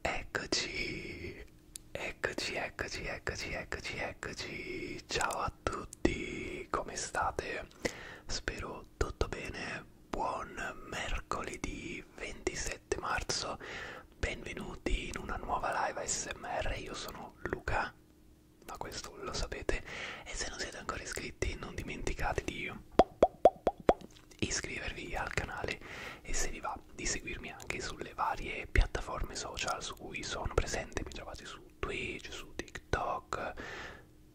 Eccoci, eccoci, eccoci, eccoci, eccoci, eccoci. Ciao a tutti, come state? Spero tutto bene. Buon mercoledì 27 marzo. Benvenuti in una nuova live ASMR. Io sono Luca, ma questo lo sapete. E se non siete ancora iscritti, non dimenticate di iscrivervi al canale e se vi va di seguirmi anche sulle varie piattaforme social su cui sono presente, mi trovate su Twitch, su TikTok,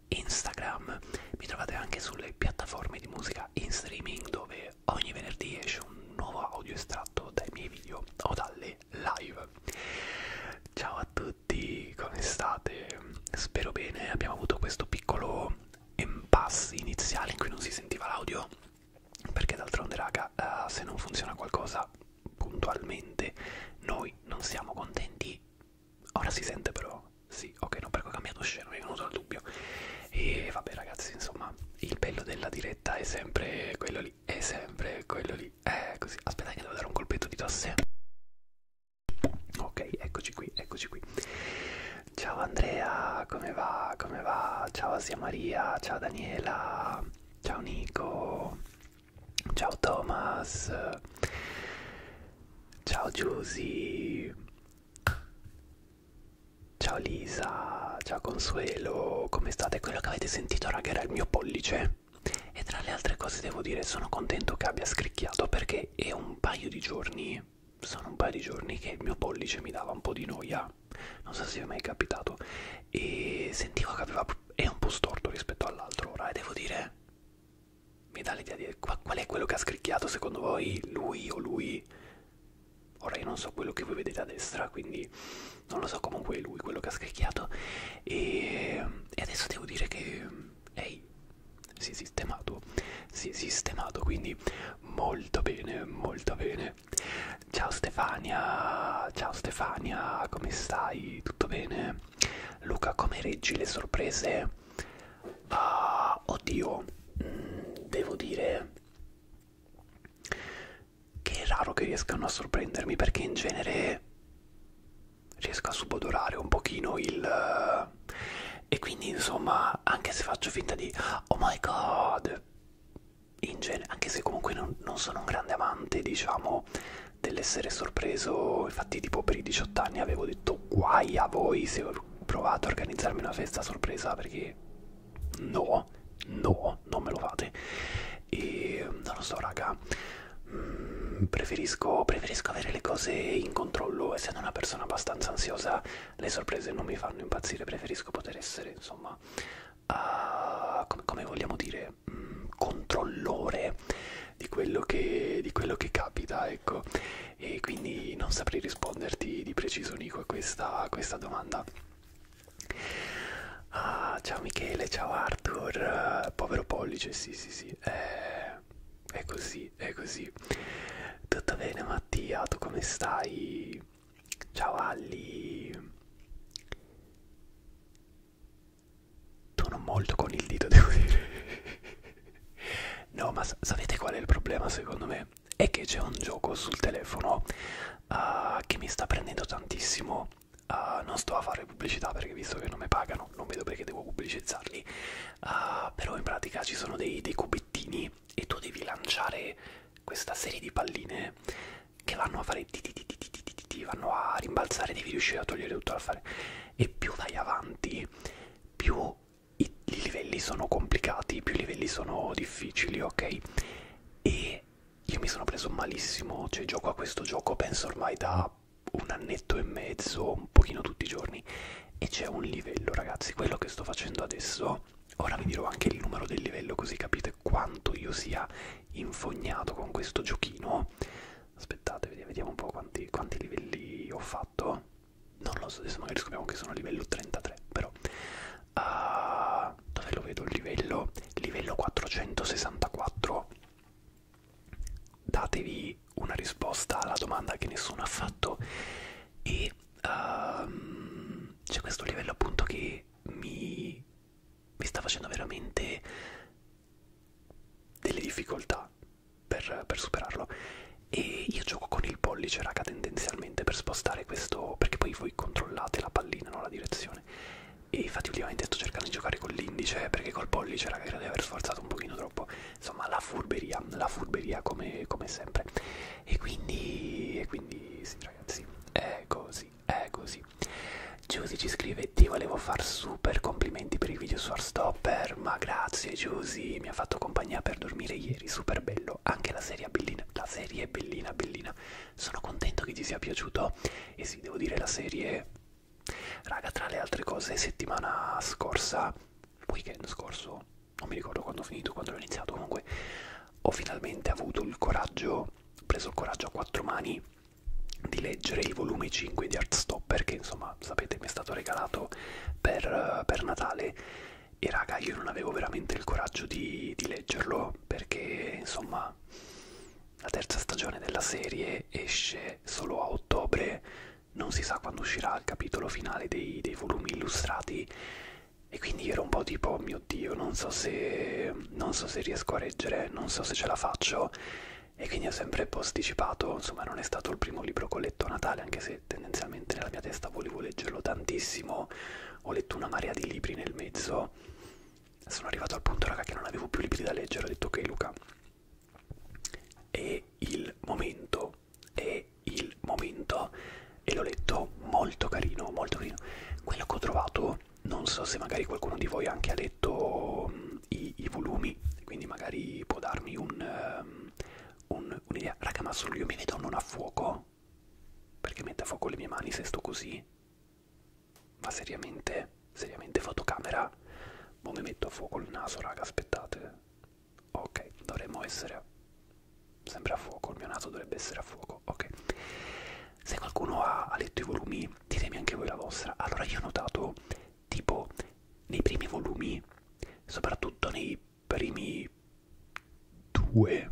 Instagram, mi trovate anche sulle piattaforme di musica in streaming dove ogni venerdì esce un nuovo audio estratto dai miei video o dalle live. Ciao a tutti, come state? Spero bene, abbiamo avuto questo piccolo impassi iniziali in cui non si sentiva l'audio perché d'altronde raga uh, se non funziona qualcosa puntualmente noi non siamo contenti ora si sente però sì ok no perché ho cambiato scena mi è venuto il dubbio e vabbè ragazzi insomma il bello della diretta è sempre quello lì è sempre quello lì eh così aspetta che devo dare un colpetto di tosse Ok, eccoci qui, eccoci qui. Ciao Andrea, come va? Come va? Ciao Asia Maria, ciao Daniela, ciao Nico, ciao Thomas, ciao Giusy, ciao Lisa, ciao Consuelo, come state? Quello che avete sentito raga era il mio pollice e tra le altre cose devo dire sono contento che abbia scricchiato perché è un paio di giorni sono un paio di giorni che il mio pollice mi dava un po' di noia, non so se vi è mai capitato, e sentivo che aveva, è un po' storto rispetto all'altro ora, e devo dire, mi dà l'idea di qual è quello che ha scricchiato secondo voi, lui o lui? Ora io non so quello che voi vedete a destra, quindi non lo so comunque è lui quello che ha scricchiato, e, e adesso devo dire che lei si è sistemato si è sistemato quindi molto bene molto bene ciao Stefania ciao Stefania come stai tutto bene Luca come reggi le sorprese ah, oddio mm, devo dire che è raro che riescano a sorprendermi perché in genere riesco a subodorare un pochino il e quindi insomma anche se faccio finta di oh my god in genere anche se comunque non, non sono un grande amante diciamo dell'essere sorpreso infatti tipo per i 18 anni avevo detto guai a voi se ho provato a organizzarmi una festa sorpresa perché no no non me lo fate e non lo so raga mm, preferisco, preferisco avere le cose in controllo e essendo una persona abbastanza ansiosa le sorprese non mi fanno impazzire, preferisco poter essere insomma, uh, come, come vogliamo dire, mh, mm, controllore di quello, che, di quello che capita, ecco, e quindi non saprei risponderti di preciso Nico a questa, a questa domanda. Ah, ciao Michele, ciao Arthur, povero pollice, sì sì sì, eh, è così, è così. Tutto bene Mattia, tu come stai? Ciao Ali. Tono molto con il dito, devo dire. No, ma sapete qual è il problema secondo me? È che c'è un gioco sul telefono uh, che mi sta prendendo tantissimo. Uh, non sto a fare pubblicità perché visto che non mi pagano piano, non vedo perché devo pubblicizzarli, uh, però in pratica ci sono dei, dei cubettini e tu devi lanciare questa serie di palline che vanno a fare ti ti ti ti ti ti ti ti vanno a rimbalzare, devi riuscire a togliere tutto da fare e più vai avanti, più i, i livelli sono complicati, più i livelli sono difficili, ok? E io mi sono preso malissimo, cioè gioco a questo gioco penso ormai da un annetto e mezzo, un pochino tutti i giorni e c'è un livello ragazzi quello che sto facendo adesso ora vi dirò anche il numero del livello così capite quanto io sia infognato con questo giochino aspettate vediamo un po' quanti, quanti livelli ho fatto non lo so adesso magari scopriamo che sono a livello 33 però uh, dove lo vedo il livello livello 464 datevi una risposta alla domanda che nessuno ha fatto e um, c'è questo livello appunto che mi, mi sta facendo veramente delle difficoltà per, per superarlo e io gioco con il pollice raga tendenzialmente per spostare questo perché poi voi controllate la pallina no la direzione e infatti ultimamente sto cercando di giocare con l'indice perché col pollice raga credo di aver sforzato un pochino troppo insomma la furberia la furberia come, come sempre e quindi e quindi sì ragazzi è così è così Giusy ci scrive ti volevo far super complimenti per il video su Arstopper ma grazie Giusy mi ha fatto compagnia per dormire ieri super bello anche la serie è bellina la serie è bellina bellina sono contento che ti sia piaciuto e sì devo dire la serie raga tra le altre cose settimana scorsa weekend scorso, non mi ricordo quando ho finito, quando l'ho iniziato, comunque ho finalmente avuto il coraggio, preso il coraggio a quattro mani di leggere il volume 5 di Artstopper che insomma sapete mi è stato regalato per, per Natale e raga io non avevo veramente il coraggio di, di leggerlo perché insomma la terza stagione della serie esce solo a ottobre non si sa quando uscirà il capitolo finale dei, dei volumi illustrati e quindi ero un po' tipo oh mio dio non so se non so se riesco a reggere non so se ce la faccio e quindi ho sempre posticipato insomma non è stato il primo libro che ho letto a Natale anche se tendenzialmente nella mia testa volevo leggerlo tantissimo ho letto una marea di libri nel mezzo sono arrivato al punto raga che non avevo più libri da leggere ho detto ok Luca è il momento è il momento e l'ho letto molto carino, molto carino. Quello che ho trovato, non so se magari qualcuno di voi anche ha letto i, i volumi, quindi magari può darmi ehm, un'idea. Un, un Raga, ma solo io mi vedo non a fuoco? Perché mette a fuoco le mie mani se sto così? Ma seriamente? Seriamente fotocamera? Ma mi metto a fuoco il naso, raga, aspettate ok dovremmo essere sempre a fuoco il mio naso dovrebbe essere a fuoco ok se qualcuno ha, ha letto i volumi ditemi anche voi la vostra allora io ho notato tipo nei primi volumi soprattutto nei primi due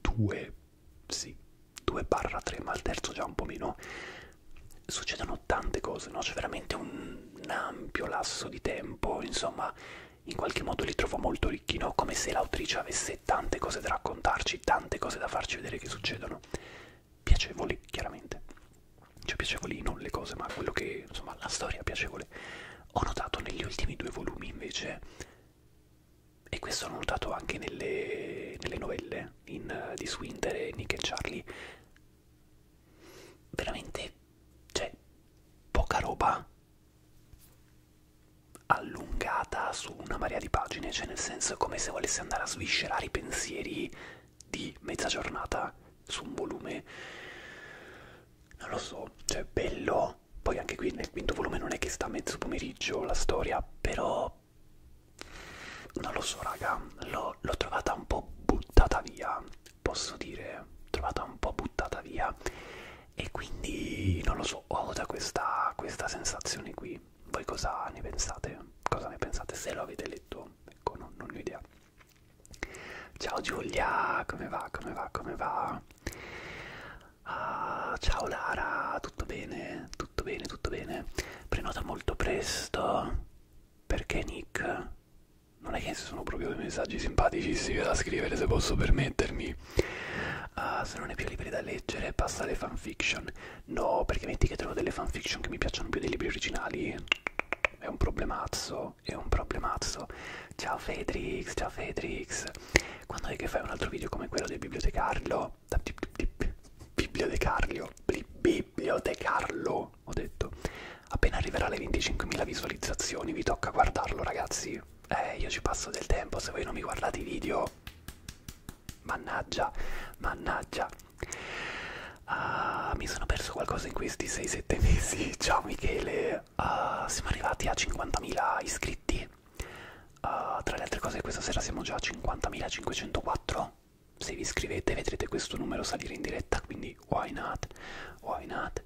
due sì 2 barra 3 ma al terzo già un po' meno succedono succedono tante cose, no? C'è veramente un, un ampio lasso di tempo, insomma, in qualche modo li trovo molto ricchi, no? Come se l'autrice avesse tante cose da raccontarci, tante cose da farci vedere che succedono. Piacevoli, chiaramente. Cioè piacevoli non le cose, ma quello che, insomma, la storia è piacevole. Ho notato negli ultimi due volumi, invece, e questo l'ho notato anche nelle, nelle novelle in, uh, di Swinter e Nick e Charlie, veramente cioè poca roba allungata su una marea di pagine cioè nel senso è come se volesse andare a sviscerare i pensieri di mezza giornata su un volume non lo so cioè bello poi anche qui nel quinto volume non è che sta a mezzo pomeriggio la storia però non lo so raga l'ho trovata un po' buttata via posso dire trovata un po' buttata via e quindi non lo so ho già questa, questa sensazione qui voi cosa ne pensate cosa ne pensate se lo avete letto ecco non, non ho idea ciao Giulia come va come va come va ah, ciao Lara tutto bene tutto bene tutto bene prenota molto presto perché Nick non è che sono proprio dei messaggi simpaticissimi da scrivere se posso permettermi uh, se non è più libri da leggere passa alle fanfiction no perché metti che trovo delle fanfiction che mi piacciono più dei libri originali è un problemazzo è un problemazzo ciao Fedrix ciao Fedrix quando è che fai un altro video come quello del bibliotecario da bibliotecario bibliotecario no, ho detto. Appena arriverà alle 25.000 visualizzazioni vi tocca guardarlo ragazzi. Eh, io ci passo del tempo, se voi non mi guardate i video... Mannaggia, mannaggia. Uh, mi sono perso qualcosa in questi 6-7 mesi. Ciao Michele, uh, siamo arrivati a 50.000 iscritti. Uh, tra le altre cose questa sera siamo già a 50.504. Se vi iscrivete vedrete questo numero salire in diretta, quindi quindi why not? Why not?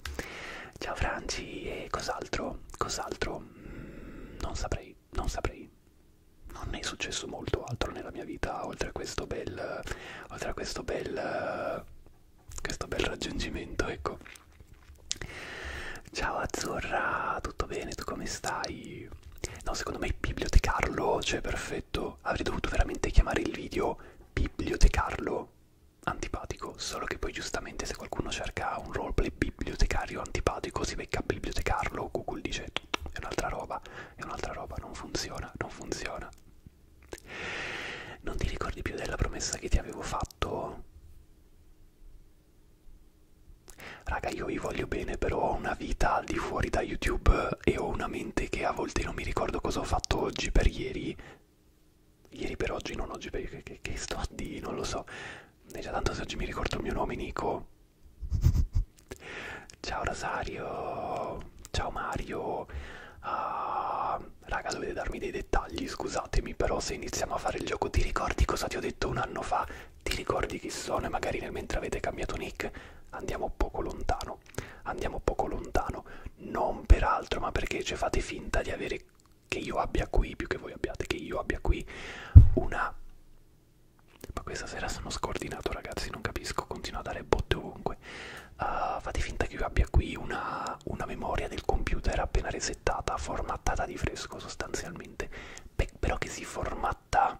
Ciao Franci, e cos'altro? Cos'altro? Mm, non saprei, non saprei. Non ne è successo molto altro nella mia vita, oltre a questo bel, oltre a questo bel, questo bel raggiungimento, ecco. Ciao Azzurra, tutto bene? Tu come stai? No, secondo me bibliotecarlo, cioè perfetto. Avrei dovuto veramente chiamare il video bibliotecarlo antipatico, solo che poi giustamente se qualcuno cerca un roleplay bibliotecario antipatico si becca bibliotecarlo, Google dice è un'altra roba, è un'altra roba, non funziona, non funziona. Non ti ricordi più della promessa che ti avevo fatto? Raga, io vi voglio bene, però ho una vita al di fuori da YouTube e ho una mente che a volte non mi ricordo cosa ho fatto oggi per ieri, ieri per oggi, non oggi per che, che, che sto a di, non lo so. E già tanto se oggi mi ricordo il mio nome, Nico. ciao Rosario, ciao Mario. Uh, raga, dovete darmi dei dettagli, scusatemi, però se iniziamo a fare il gioco ti ricordi cosa ti ho detto un anno fa? Ti ricordi chi sono e magari nel mentre avete cambiato nick andiamo poco lontano no, andiamo poco lontano, non per altro, ma perché cioè, fate finta di avere che io abbia qui, più che voi abbiate, che io abbia qui una... Ma questa sera sono scordinato ragazzi, non capisco, continuo a dare botte ovunque. Uh, fate finta che io abbia qui una, una memoria del computer appena resettata, formattata di fresco sostanzialmente, Beh, però che si formatta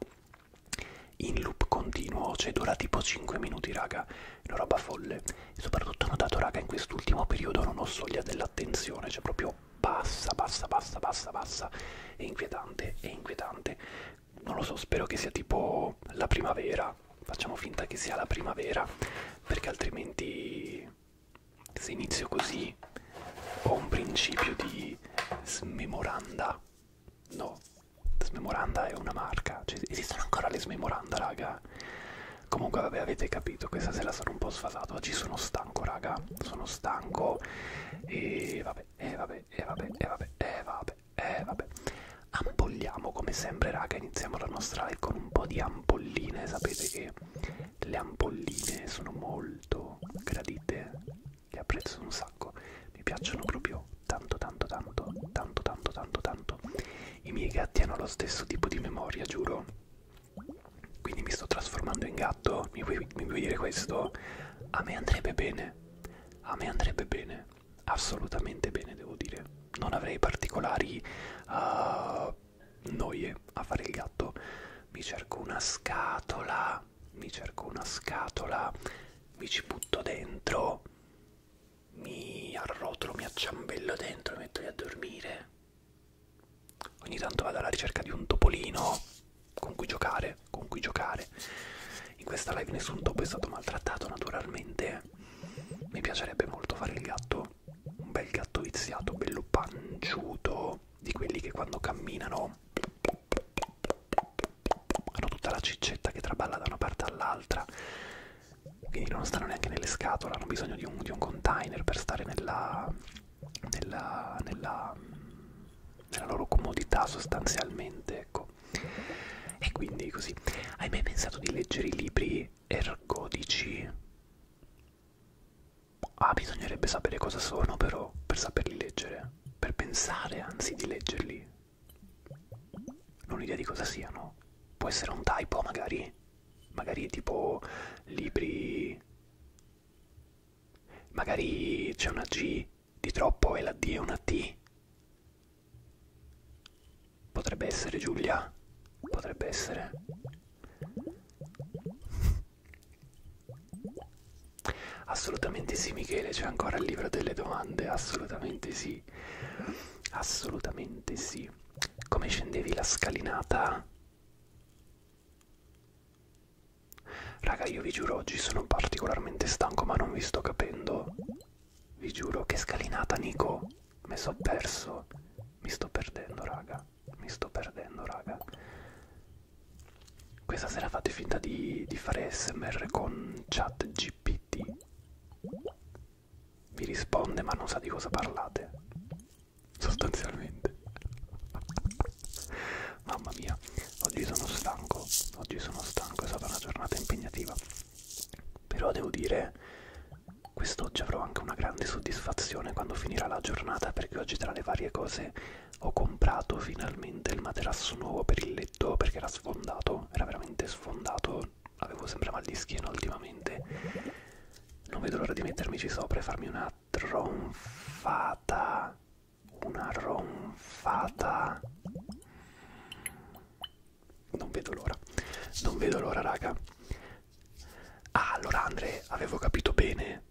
in loop continuo, cioè dura tipo 5 minuti raga una roba folle. E soprattutto ho notato, raga, in quest'ultimo periodo non ho soglia dell'attenzione, cioè proprio bassa, bassa, bassa, bassa, bassa. È inquietante, è inquietante. Non lo so, spero che sia tipo la primavera. Facciamo finta che sia la primavera, perché altrimenti se inizio così ho un principio di smemoranda. No, smemoranda è una marca. Cioè, esistono ancora le smemoranda, raga? Comunque vabbè avete capito, questa sera sono un po' sfasato, oggi sono stanco raga, sono stanco e vabbè, e vabbè, e vabbè, e vabbè, e vabbè, e vabbè. Ampolliamo come sempre raga, iniziamo la nostra live con un po' di ampolline, sapete che le ampolline sono molto gradite, le apprezzo un sacco, mi piacciono proprio tanto tanto tanto, tanto tanto tanto tanto i miei gatti hanno lo stesso tipo di memoria, giuro. Quindi mi sto trasformando in gatto. Mi vuoi, mi vuoi dire questo? A me andrebbe bene. A me andrebbe bene. Assolutamente bene, devo dire. Non avrei particolari uh, noie a fare il gatto. Mi cerco una scatola. Mi cerco una scatola. Mi ci butto dentro mi arrotolo, mi acciambello dentro e mi metto lì a dormire. Ogni tanto vado alla ricerca di un topolino con cui giocare, con cui giocare. In questa live nessun topo è stato maltrattato naturalmente. Mi piacerebbe molto fare il gatto, un bel gatto viziato, bello panciuto, di quelli che quando camminano hanno tutta la ciccetta che traballa da una parte all'altra quindi non stanno neanche nelle scatole, hanno bisogno di un, di un container per stare nella, nella, nella, nella loro comodità sostanzialmente, ecco. E quindi così. Hai mai pensato di leggere i libri ergodici? Ah, bisognerebbe sapere cosa sono però per saperli leggere, per pensare anzi di leggerli non ho idea di cosa siano. Può essere un typo magari? Magari tipo libri... Magari c'è una G di troppo e la D è una T. Potrebbe essere Giulia. Potrebbe essere... Assolutamente sì Michele, c'è ancora il libro delle domande, assolutamente sì, assolutamente sì come scendevi la scalinata? Raga, io vi giuro, oggi sono particolarmente stanco, ma non vi sto capendo. Vi giuro, che scalinata, Nico. Mi sono perso. Mi sto perdendo, raga. Mi sto perdendo, raga. Questa sera fate finta di, di fare SMR con chat GPT vi risponde ma non sa di cosa parlate sostanzialmente mamma mia oggi sono stanco oggi sono stanco è stata una giornata impegnativa però devo dire quest'oggi avrò anche una grande soddisfazione quando finirà la giornata perché oggi tra le varie cose ho comprato finalmente il materasso nuovo per il letto perché era sfondato era veramente sfondato avevo sempre mal di schiena ultimamente non vedo l'ora di mettermici sopra e farmi una tronfata una ronfata non vedo l'ora non vedo l'ora raga ah allora Andre avevo capito bene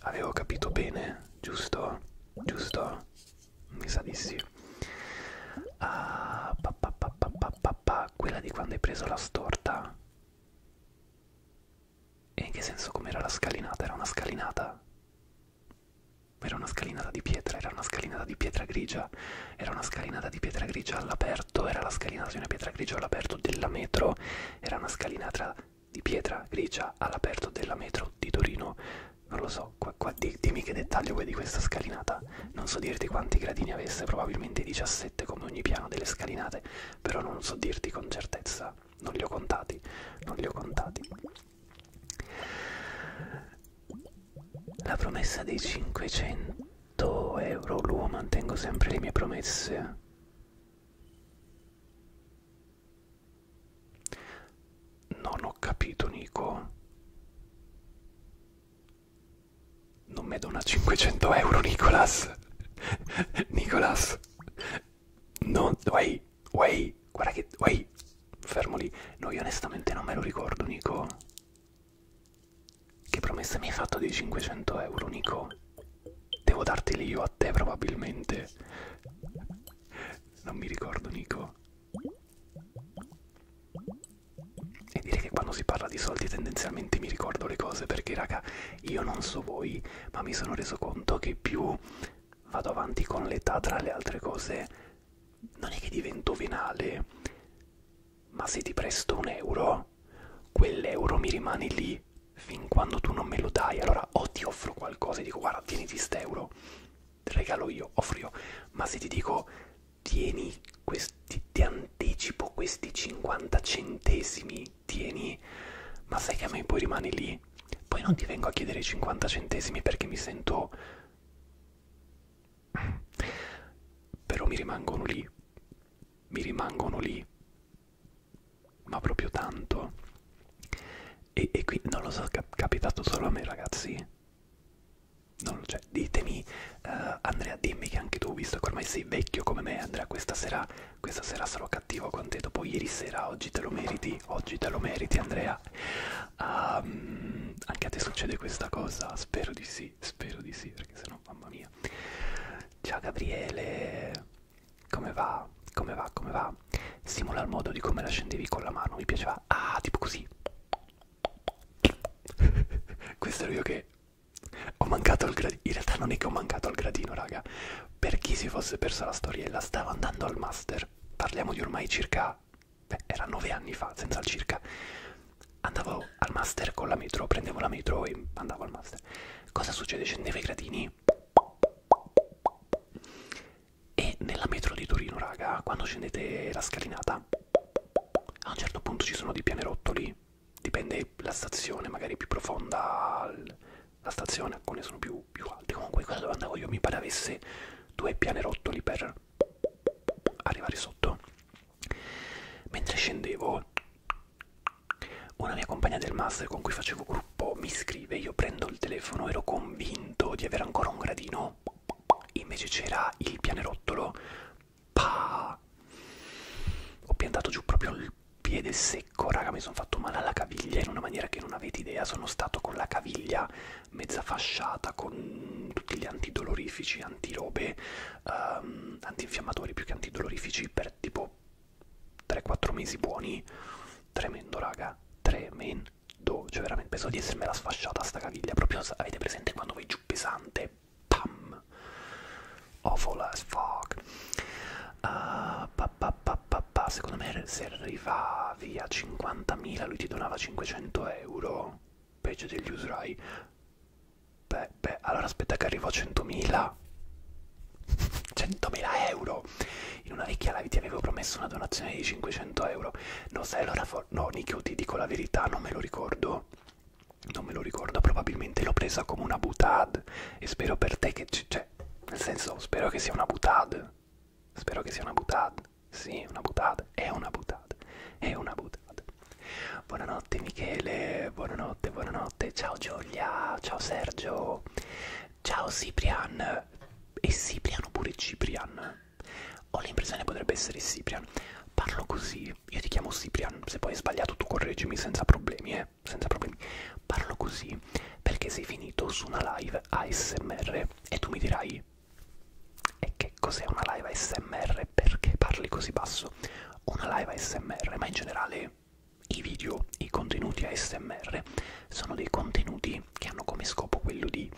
avevo capito bene giusto giusto mi sa di sì ah, pa, pa, pa, pa, pa pa, pa, pa, quella di quando hai preso la storta? E in che senso com'era la scalinata? Era una scalinata? Era una scalinata di pietra, era una scalinata di pietra grigia, era una scalinata di pietra grigia all'aperto, era la scalinata di una pietra grigia all'aperto della metro, era una scalinata di pietra grigia all'aperto della metro di Torino. Non lo so, qua, qua, di, dimmi che dettaglio vuoi di questa scalinata casa. Non so dirti quanti gradini avesse, probabilmente 17 come ogni piano delle scalinate, però non so dirti con certezza. Non li ho contati, non li ho contati. La promessa dei 500 euro, l'uomo mantengo sempre le mie promesse. Non ho capito, Nico. Non mi dona 500 euro, Nicolas. Nicolas. Non... Uai, uai, guarda che... Uai, fermo lì. No, io onestamente non me lo ricordo, Nico. Che promessa mi hai fatto dei 500 euro, Nico? Devo darteli io a te, probabilmente. Non mi ricordo, Nico. E direi che quando si parla di soldi tendenzialmente mi ricordo le cose perché raga, io non so voi, ma mi sono reso conto che più vado avanti con l'età tra le altre cose, non è che divento venale, ma se ti presto un euro, quell'euro mi rimane lì fin quando tu non me lo dai. Allora o ti offro qualcosa e dico guarda, tieniti st'euro, regalo io, offro io, ma se ti dico tieni questi, ti anticipo questi 50 centesimi, tieni, ma sai che a me poi rimane lì, poi non ti vengo a chiedere 50 centesimi perché mi sento... però mi rimangono lì, mi rimangono lì, ma proprio tanto. E, e qui non lo so, è capitato solo a me ragazzi non, cioè, ditemi, uh, Andrea, dimmi che anche tu, visto che ormai sei vecchio come me, Andrea, questa sera, questa sera sarò cattivo con te. Dopo ieri sera, oggi te lo meriti, oggi te lo meriti, Andrea. Um, anche a te succede questa cosa? Spero di sì, spero di sì, perché sennò, mamma mia. Ciao Gabriele, come va? Come va? Come va? Simula il modo di come la scendevi con la mano, mi piaceva. Ah, tipo così. Questo ero io che ho mancato il gradino. In realtà non è che ho mancato il gradino, raga. Per chi si fosse persa la storiella, stavo andando al master. Parliamo di ormai circa... Beh, era nove anni fa, senza il circa. Andavo al master con la metro, prendevo la metro e andavo al master. Cosa succede? Scendevo i gradini. E nella metro di Torino, raga, quando scendete la scalinata, a un certo punto ci sono dei pianerottoli, dipende la stazione, magari più profonda la stazione, alcune sono più, più alte. Comunque quella dove andavo io mi pare avesse due pianerottoli per arrivare sotto. Mentre scendevo, una mia compagna del master con cui facevo gruppo mi scrive, io prendo il telefono, ero convinto di avere ancora un gradino, invece c'era il pianerottolo pa. Ho piantato giù proprio il piede secco, raga, mi sono fatto male alla caviglia in una maniera che non avete idea, sono stato con la caviglia mezza fasciata, con tutti gli antidolorifici, antirobe, um, antinfiammatori più che antidolorifici per tipo 3-4 mesi buoni, tremendo raga, tremendo, cioè veramente penso di essermela sfasciata sta caviglia, proprio avete presente quando vai giù pesante, Pam. Awful as fuck. Uh, pa, pa, pa, pa, pa. Secondo me se arrivavi a 50.000 lui ti donava 500 euro. Peggio degli usurai. Beh, beh, allora aspetta che arrivo a 100.000. 100.000 euro. In una vecchia live ti avevo promesso una donazione di 500 euro. No, sai, allora... No, Nicky, ti dico la verità, non me lo ricordo non me lo ricordo, probabilmente l'ho presa come una butad e spero per te che ci... cioè, nel senso, spero che sia una butad, spero che sia una butad, sì, una butad, è una butad, è una butad. Buonanotte Michele, buonanotte, buonanotte, ciao Giulia, ciao Sergio, ciao Ciprian, e Cipriano pure Ciprian. Ho l'impressione potrebbe essere Ciprian. Parlo così, io ti chiamo Ciprian, se poi hai sbagliato tu correggimi senza problemi, eh, senza problemi. Parlo così perché sei finito su una live ASMR e tu mi dirai e che cos'è una live ASMR? Perché parli così basso? Una live ASMR, ma in generale i video, i contenuti ASMR sono dei contenuti che hanno come scopo quello di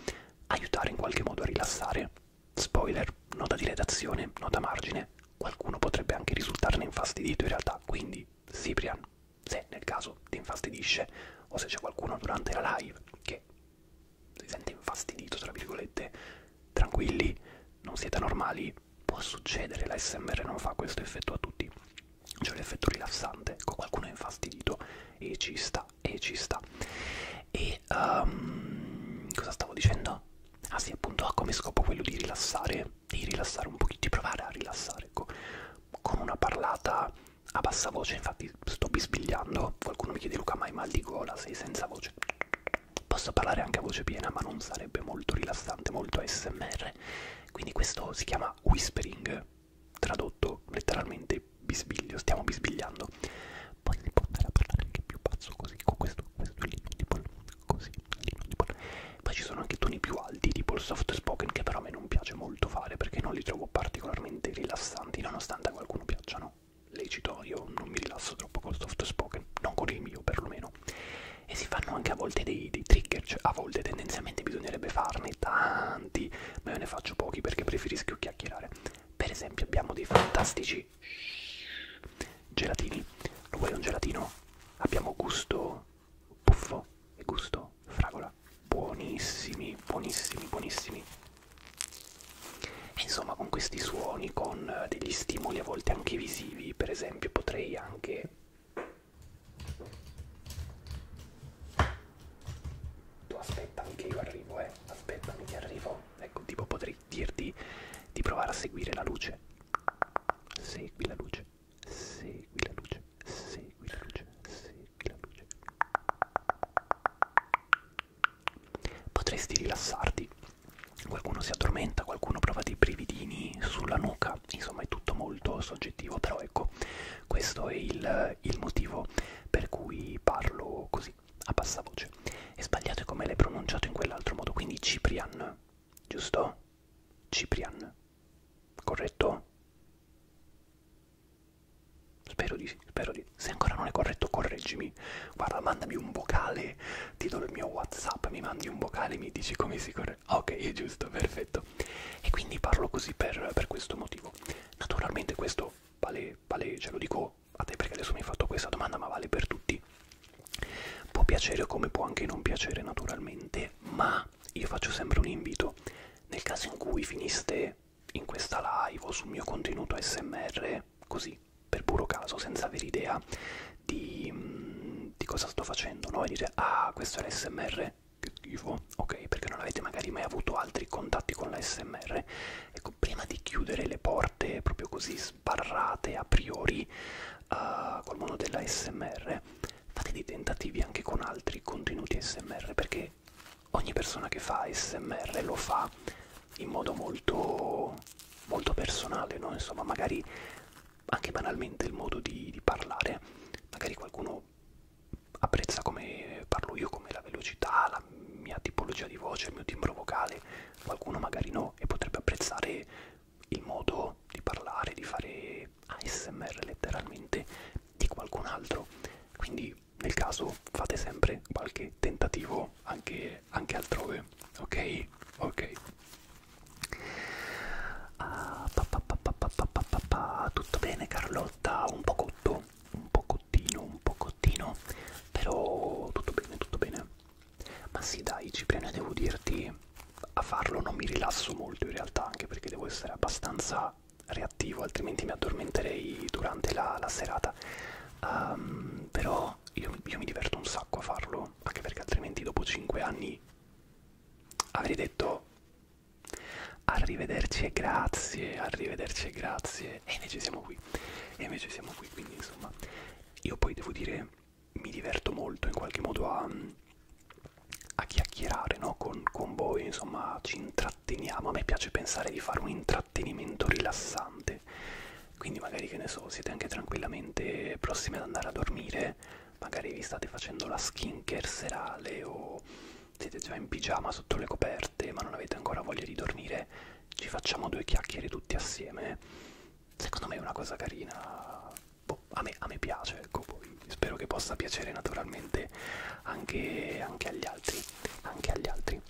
aiutare in qualche modo a rilassare Spoiler, nota di redazione, nota margine, qualcuno potrebbe anche risultarne infastidito in realtà, quindi Ciprian, se nel caso ti infastidisce o se c'è qualcuno durante la live che si sente infastidito, tra virgolette, tranquilli, non siete normali, può succedere, la SMR non fa questo effetto a tutti, c'è l'effetto rilassante, ecco, qualcuno è infastidito e ci sta, e ci sta. E e um, cosa stavo dicendo? Ah sì, appunto ha come scopo quello di rilassare, di rilassare un pochino, di provare a rilassare ecco, con una parlata a bassa voce, infatti sto bisbigliando, qualcuno mi chiede Luca ma hai mal di gola, sei senza voce, posso parlare anche a voce piena ma non sarebbe molto rilassante, molto ASMR, quindi questo si chiama whispering, tradotto letteralmente bisbiglio, stiamo bisbigliando, poi si può andare a parlare anche più basso così, con questo questo è l'inaudible, così, l'inaudible. Poi ci sono anche toni più alti, tipo il soft spoken, che però a me non piace molto fare perché non li trovo particolarmente rilassanti, nonostante a qualcuno piacciono. Lecito, io non mi rilasso troppo col soft spoken, non con il mio perlomeno. E si fanno anche a volte dei, dei trigger, cioè a volte tendenzialmente bisognerebbe farne tanti, ma io ne faccio pochi perché preferisco chiacchierare. Per esempio abbiamo dei fantastici Gelatini. Lo vuoi un gelatino? Abbiamo gusto puffo e gusto fragola. Buonissimi, buonissimi, buonissimi. Insomma, con questi suoni, con eh, degli stimoli a volte anche visivi, per esempio, potrei anche... Tu aspettami che io arrivo, eh, aspettami che arrivo. Ecco, tipo potrei dirti di provare a seguire la luce. Segui la luce, segui la luce, segui la luce, segui la luce. Potresti rilassarti. Qualcuno si addormenta, qualcuno prova dei brividini sulla nuca, insomma è tutto molto soggettivo, però ecco, questo è il, il motivo per cui parlo così a bassa voce. È sbagliato come l'hai pronunciato in quell'altro modo, quindi Ciprian, giusto? Ciprian, corretto? Spero di sì, spero di Se ancora non è corretto, correggimi. Guarda, mandami un vocale, ti do il mio WhatsApp, mi mandi un vocale e mi dici come si corre. Ok, è giusto, perfetto. E quindi parlo così per, per questo motivo. Naturalmente questo vale, vale, ce lo dico a te perché adesso mi hai fatto questa domanda ma vale per tutti può piacere come può anche non piacere naturalmente ma io faccio sempre un invito nel caso in cui finiste in questa live o sul mio contenuto smr così per puro caso senza avere idea di, mm, di cosa sto facendo no? e dire ah questo è l'smr che schifo ok perché non avete magari mai avuto altri contatti con l'smr ecco, prima di chiudere le porte proprio così sbarrate a priori uh, col mondo della SMR, fate dei tentativi anche con altri contenuti SMR perché ogni persona che fa SMR lo fa in modo molto, molto personale, no? insomma, magari anche banalmente il modo di, di parlare, magari qualcuno apprezza come parlo io, come la velocità, la mia tipologia di voce, il mio timbro vocale, qualcuno magari no e potrebbe apprezzare il modo di parlare, di fare ASMR letteralmente di qualcun altro. Quindi nel caso fate sempre qualche tentativo anche, anche altrove, ok? Ok. Ah, pa, pa, pa, pa, pa, pa, pa, pa. Tutto bene Carlotta, un po' cotto, un po' cottino, un po' cottino, però tutto bene, tutto bene. Ma sì dai Cipriano devo dirti, a farlo non mi rilasso molto in realtà anche perché devo essere abbastanza reattivo altrimenti mi addormenterei durante la, la serata. Um, però io, io mi diverto un sacco a farlo, anche perché altrimenti dopo 5 anni avrei detto arrivederci e grazie, arrivederci e grazie e invece siamo qui, e invece siamo qui quindi insomma io poi devo dire, mi diverto molto in qualche modo a, mm, a chiacchierare no? con, con voi, insomma ci intratteniamo, a me piace pensare di fare un intrattenimento rilassante, quindi magari che ne so, siete anche tranquillamente prossimi ad andare a dormire, magari vi state facendo la skincare serale o siete già in pigiama sotto le coperte ma non avete ancora voglia di dormire ci facciamo due chiacchiere tutti assieme. Secondo me è una cosa carina, boh, a, me, a me piace, ecco, poi spero che possa piacere naturalmente anche, anche agli altri, anche agli altri.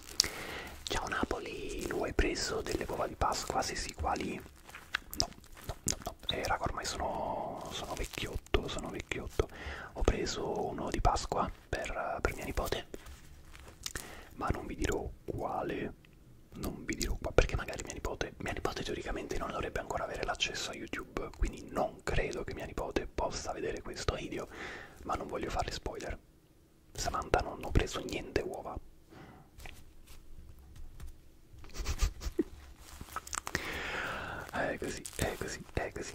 Ciao Napoli, lo hai preso delle uova di Pasqua? Se sì, quali? No, no, no, no. Eh, raga, ormai sono, sono vecchiotto, sono vecchiotto. Ho preso un uovo di Pasqua per, per mia nipote, ma non vi dirò quale non vi dirò qua perché magari mia nipote, mia nipote teoricamente non dovrebbe ancora avere l'accesso a YouTube, quindi non credo che mia nipote possa vedere questo video, ma non voglio fare spoiler. Samantha non ho preso niente uova. è così, è così, è così.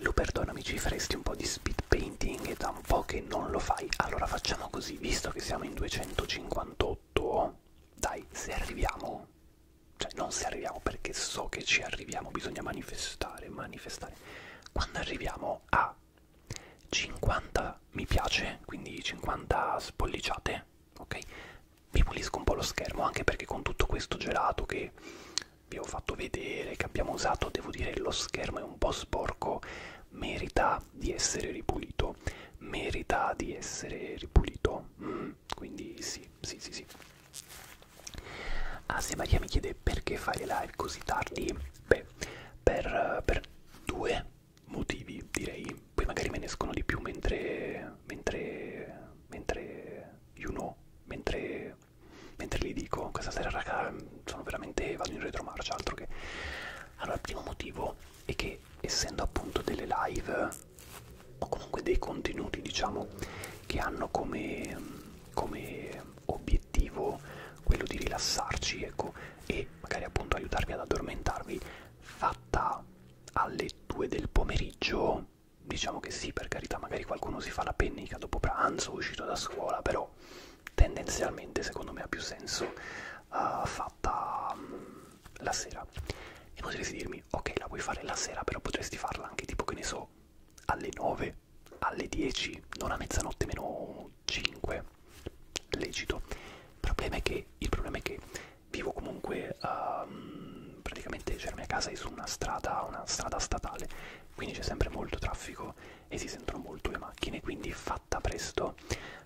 Lo perdonami, ci faresti un po' di speed painting ed da un po' che non lo fai. Allora facciamo così, visto che siamo in 258, dai, se arriviamo, cioè non se arriviamo perché so che ci arriviamo, bisogna manifestare, manifestare. Quando arriviamo a 50 mi piace, quindi 50 spolliciate, ok? Vi pulisco un po' lo schermo, anche perché con tutto questo gelato che vi ho fatto vedere, che abbiamo usato, devo dire lo schermo è un po' sporco merita di essere ripulito, merita di essere ripulito, mm, quindi sì, sì, sì, sì. Ah, se Maria mi chiede perché fai le live così tardi, beh, per, per due motivi direi, poi magari me ne escono di più mentre, mentre, mentre, you know, mentre mentre gli dico questa sera raga sono veramente vado in retromarcia altro che allora il primo motivo è che essendo appunto delle live o comunque dei contenuti diciamo che hanno come, come obiettivo quello di rilassarci ecco e magari appunto aiutarvi ad addormentarvi fatta alle 2 del pomeriggio diciamo che sì per carità magari qualcuno si fa la pennica dopo pranzo uscito da scuola però però tendenzialmente secondo me ha più senso uh, fatta um, la sera e potresti dirmi ok la vuoi fare la sera però potresti farla anche tipo che ne so alle 9 alle 10 non a mezzanotte meno 5 legito il problema è che, il problema è che vivo comunque um, praticamente cioè la mia casa è su una strada una strada statale quindi c'è sempre molto traffico e si sentono molto le macchine quindi fatta presto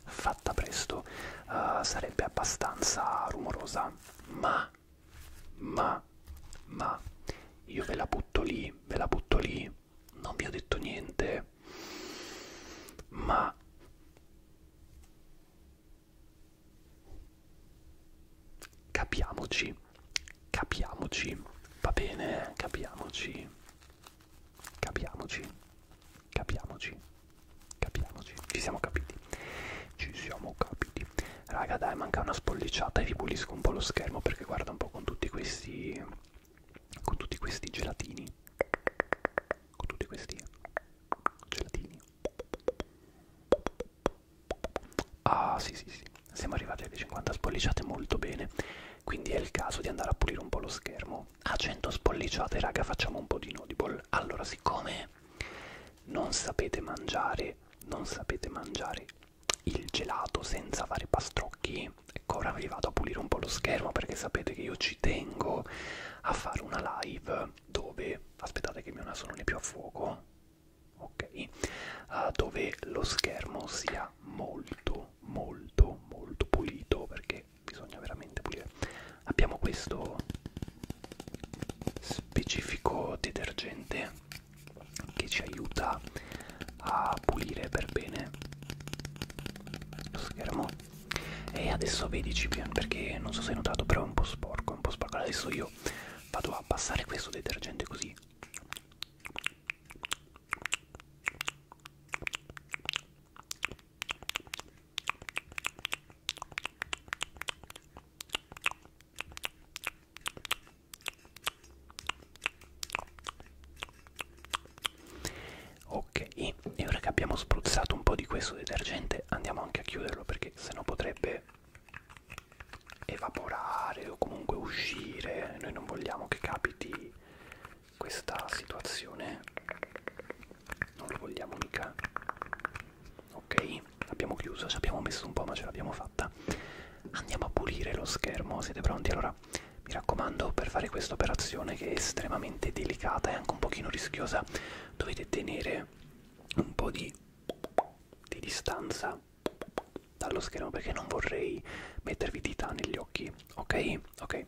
fatta presto uh, sarebbe abbastanza rumorosa ma ma ma io ve la butto lì ve la butto lì non vi ho detto niente ma capiamoci capiamoci va bene capiamoci Capiamoci, capiamoci, capiamoci. Ci siamo capiti, ci siamo capiti. Raga, dai, manca una spolliciata e vi pulisco un po' lo schermo perché guarda un po' con tutti questi. con tutti questi gelatini. Con tutti questi gelatini. Ah, sì, sì, sì. Siamo arrivati alle 50 spolliciate molto bene quindi è il caso di andare a pulire un po' lo schermo. A 100 spolliciate, raga, facciamo un po' di Nodible. Allora, siccome non sapete mangiare, non sapete mangiare il gelato senza fare pastrocchi, ecco, ora vi vado a pulire un po' lo schermo perché sapete che io ci tengo a fare una live dove... Aspettate che il mio naso non è più a fuoco. Ok, uh, dove lo schermo sia molto molto molto molto pulito perché bisogna veramente pulire abbiamo questo specifico detergente che ci aiuta a pulire per bene lo schermo e adesso vedici perché non so se hai notato però è un po' sporco è un po' sporco adesso io vado a passare questo detergente così Ok, e ora che abbiamo spruzzato un po' di questo detergente andiamo anche a chiuderlo perché sennò potrebbe evaporare o comunque uscire. Noi non vogliamo che capiti questa situazione non lo vogliamo mica ok abbiamo chiuso ci abbiamo messo un po' ma ce l'abbiamo fatta andiamo a pulire lo schermo siete pronti allora mi raccomando per fare questa operazione che è estremamente delicata e anche un pochino rischiosa dovete tenere un po' di, di distanza dallo schermo perché non vorrei mettervi dita negli occhi, ok? Ok.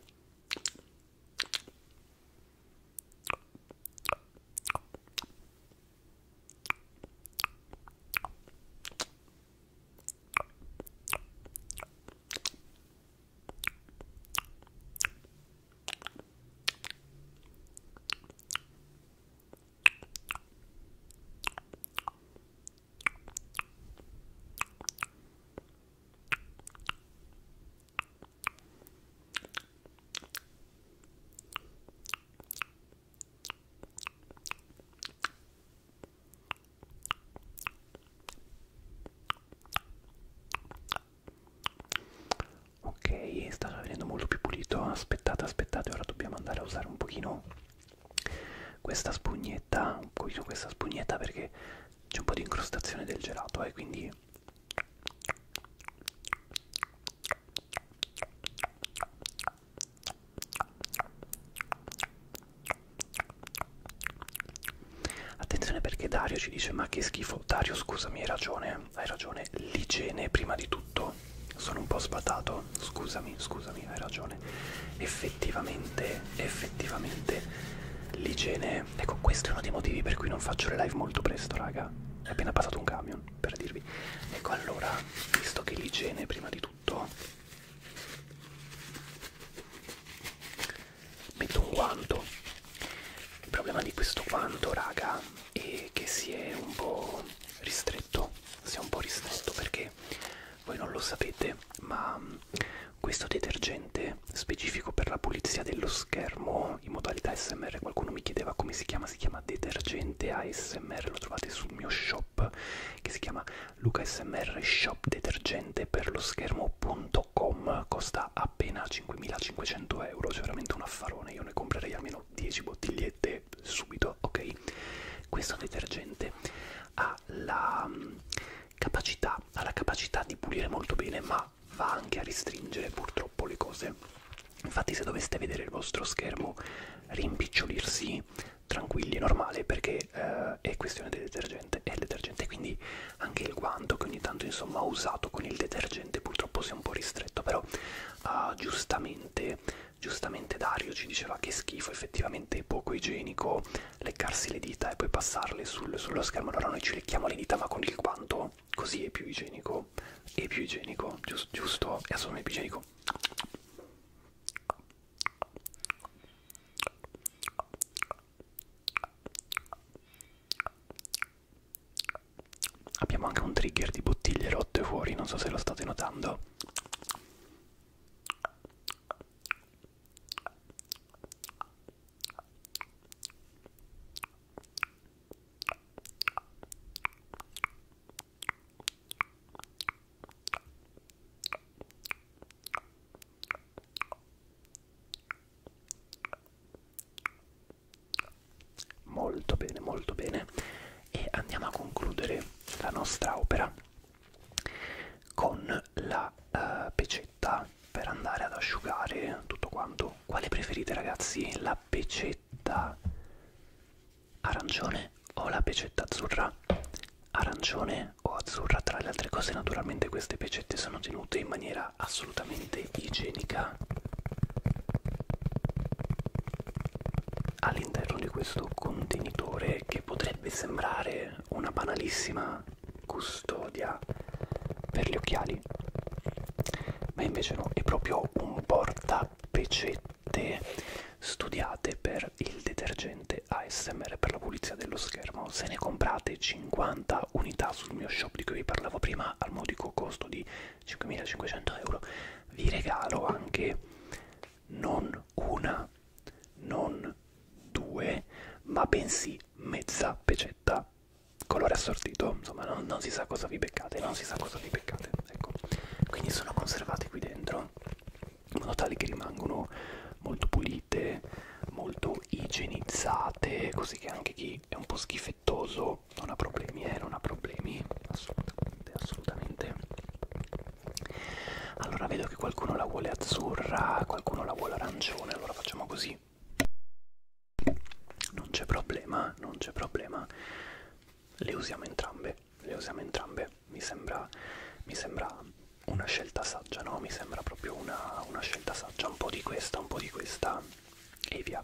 Ok, sta venendo molto più pulito. Aspettate, aspettate, ora dobbiamo andare a usare un pochino questa spugnetta cucino questa spugnetta perché c'è un po' di incrostazione del gelato e eh, quindi Attenzione perché Dario ci dice ma che schifo, Dario scusami hai ragione, hai ragione, l'igiene prima di tutto, sono un po' sbadato, scusami, scusami, hai ragione igiene cioè, effettivamente effettivamente l'igiene ecco questo è uno dei motivi per cui non faccio le live molto presto raga è appena passato un camion per dirvi ecco allora visto che l'igiene prima di tutto metto un guanto il problema di questo guanto raga è che si è un po' ristretto si è un po' ristretto perché voi non lo sapete ma mm, questo detergente specifico per la pulizia dello schermo in modalità smr qualcuno mi chiedeva come si chiama si chiama detergente asmr lo trovate sul mio shop che si chiama lucasmr shop detergente per lo schermo.com costa appena 5500 euro cioè veramente un affarone io ne comprerei almeno 10 bottigliette subito ok questo detergente ha la mm, capacità, ha la capacità di pulire molto bene, ma va anche a restringere purtroppo le cose. Infatti se doveste vedere il vostro schermo rimpicciolirsi, tranquilli, è normale perché eh, è questione del detergente, è il detergente, quindi anche il guanto che ogni tanto insomma ho usato con il detergente purtroppo si è un po' ristretto, però eh, giustamente, giustamente Dario ci diceva che schifo, effettivamente è poco igienico, leccarsi le dita e poi passarle sul, sullo schermo. Allora noi ci lecchiamo le dita ma con il guanto, così è più igienico. È più igienico, giusto? giusto? È assolutamente più igienico. Abbiamo anche un trigger di bottiglie rotte fuori, non so se lo state notando. Molto bene, molto bene. E andiamo a concludere la nostra opera con la uh, pecetta per andare ad asciugare tutto quanto. Quale preferite ragazzi? La pecetta arancione o la pecetta azzurra? Arancione o azzurra? Tra le altre cose naturalmente queste pecette sono tenute in maniera assolutamente igienica all'interno di questo contenitore che potrebbe sembrare anche una banalissima custodia per gli occhiali ma invece no, è proprio un portapecette studiate per il detergente ASMR per la pulizia dello schermo se ne comprate 50 unità sul mio shop di cui vi parlavo prima al modico costo di 5.500 euro vi regalo anche non una non due, ma bensì mezza pecetta. Colore assortito, insomma, non, non si sa cosa vi beccate, non si sa cosa vi beccate. Ecco. Quindi sono conservate qui dentro, in modo tale che rimangono molto pulite, molto igienizzate, così che anche chi è un po' schifettoso non ha problemi, eh, non ha problemi, assolutamente, assolutamente. Allora vedo che qualcuno la vuole azzurra, qualcuno la vuole arancione, allora facciamo così. Non c'è problema, non c'è problema. Le usiamo entrambe, le usiamo entrambe. Mi sembra, mi sembra una scelta saggia, no? Mi sembra proprio una, una scelta saggia, un po' di questa, un po' di questa e via.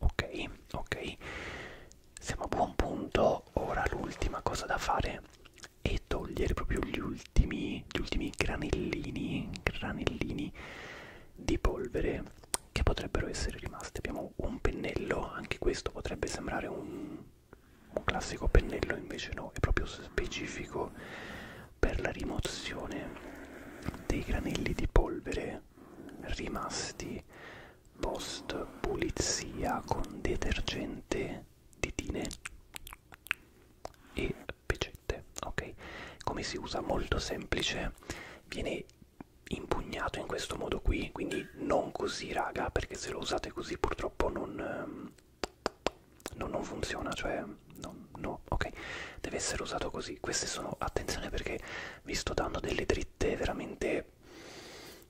Ok, ok, siamo a buon punto. Ora l'ultima cosa da fare è togliere proprio gli ultimi, gli ultimi granellini, granellini di polvere che potrebbero essere rimasti. Abbiamo un pennello, anche questo potrebbe sembrare un un classico pennello invece no, è proprio specifico per la rimozione dei granelli di polvere rimasti post pulizia con detergente, ditine e pecette. Ok, come si usa? Molto semplice, viene impugnato in questo modo qui, quindi non così raga, perché se lo usate così purtroppo non ehm, no, non funziona, cioè no, no, ok, deve essere usato così. Queste sono, attenzione perché vi sto dando delle dritte veramente,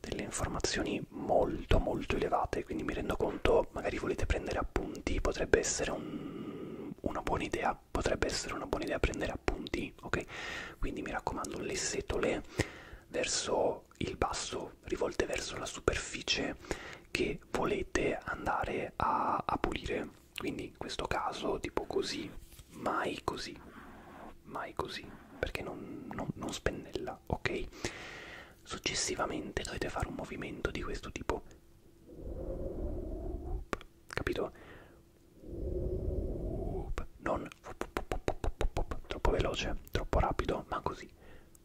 delle informazioni molto molto elevate, quindi mi rendo conto, magari volete prendere appunti, potrebbe essere un, una buona idea, potrebbe essere una buona idea prendere appunti, ok? Quindi mi raccomando, le setole verso però il basso rivolte verso la superficie che volete andare a, a pulire quindi in questo caso tipo così mai così mai così perché non, non, non spennella ok successivamente dovete fare un movimento di questo tipo capito non troppo veloce troppo rapido ma così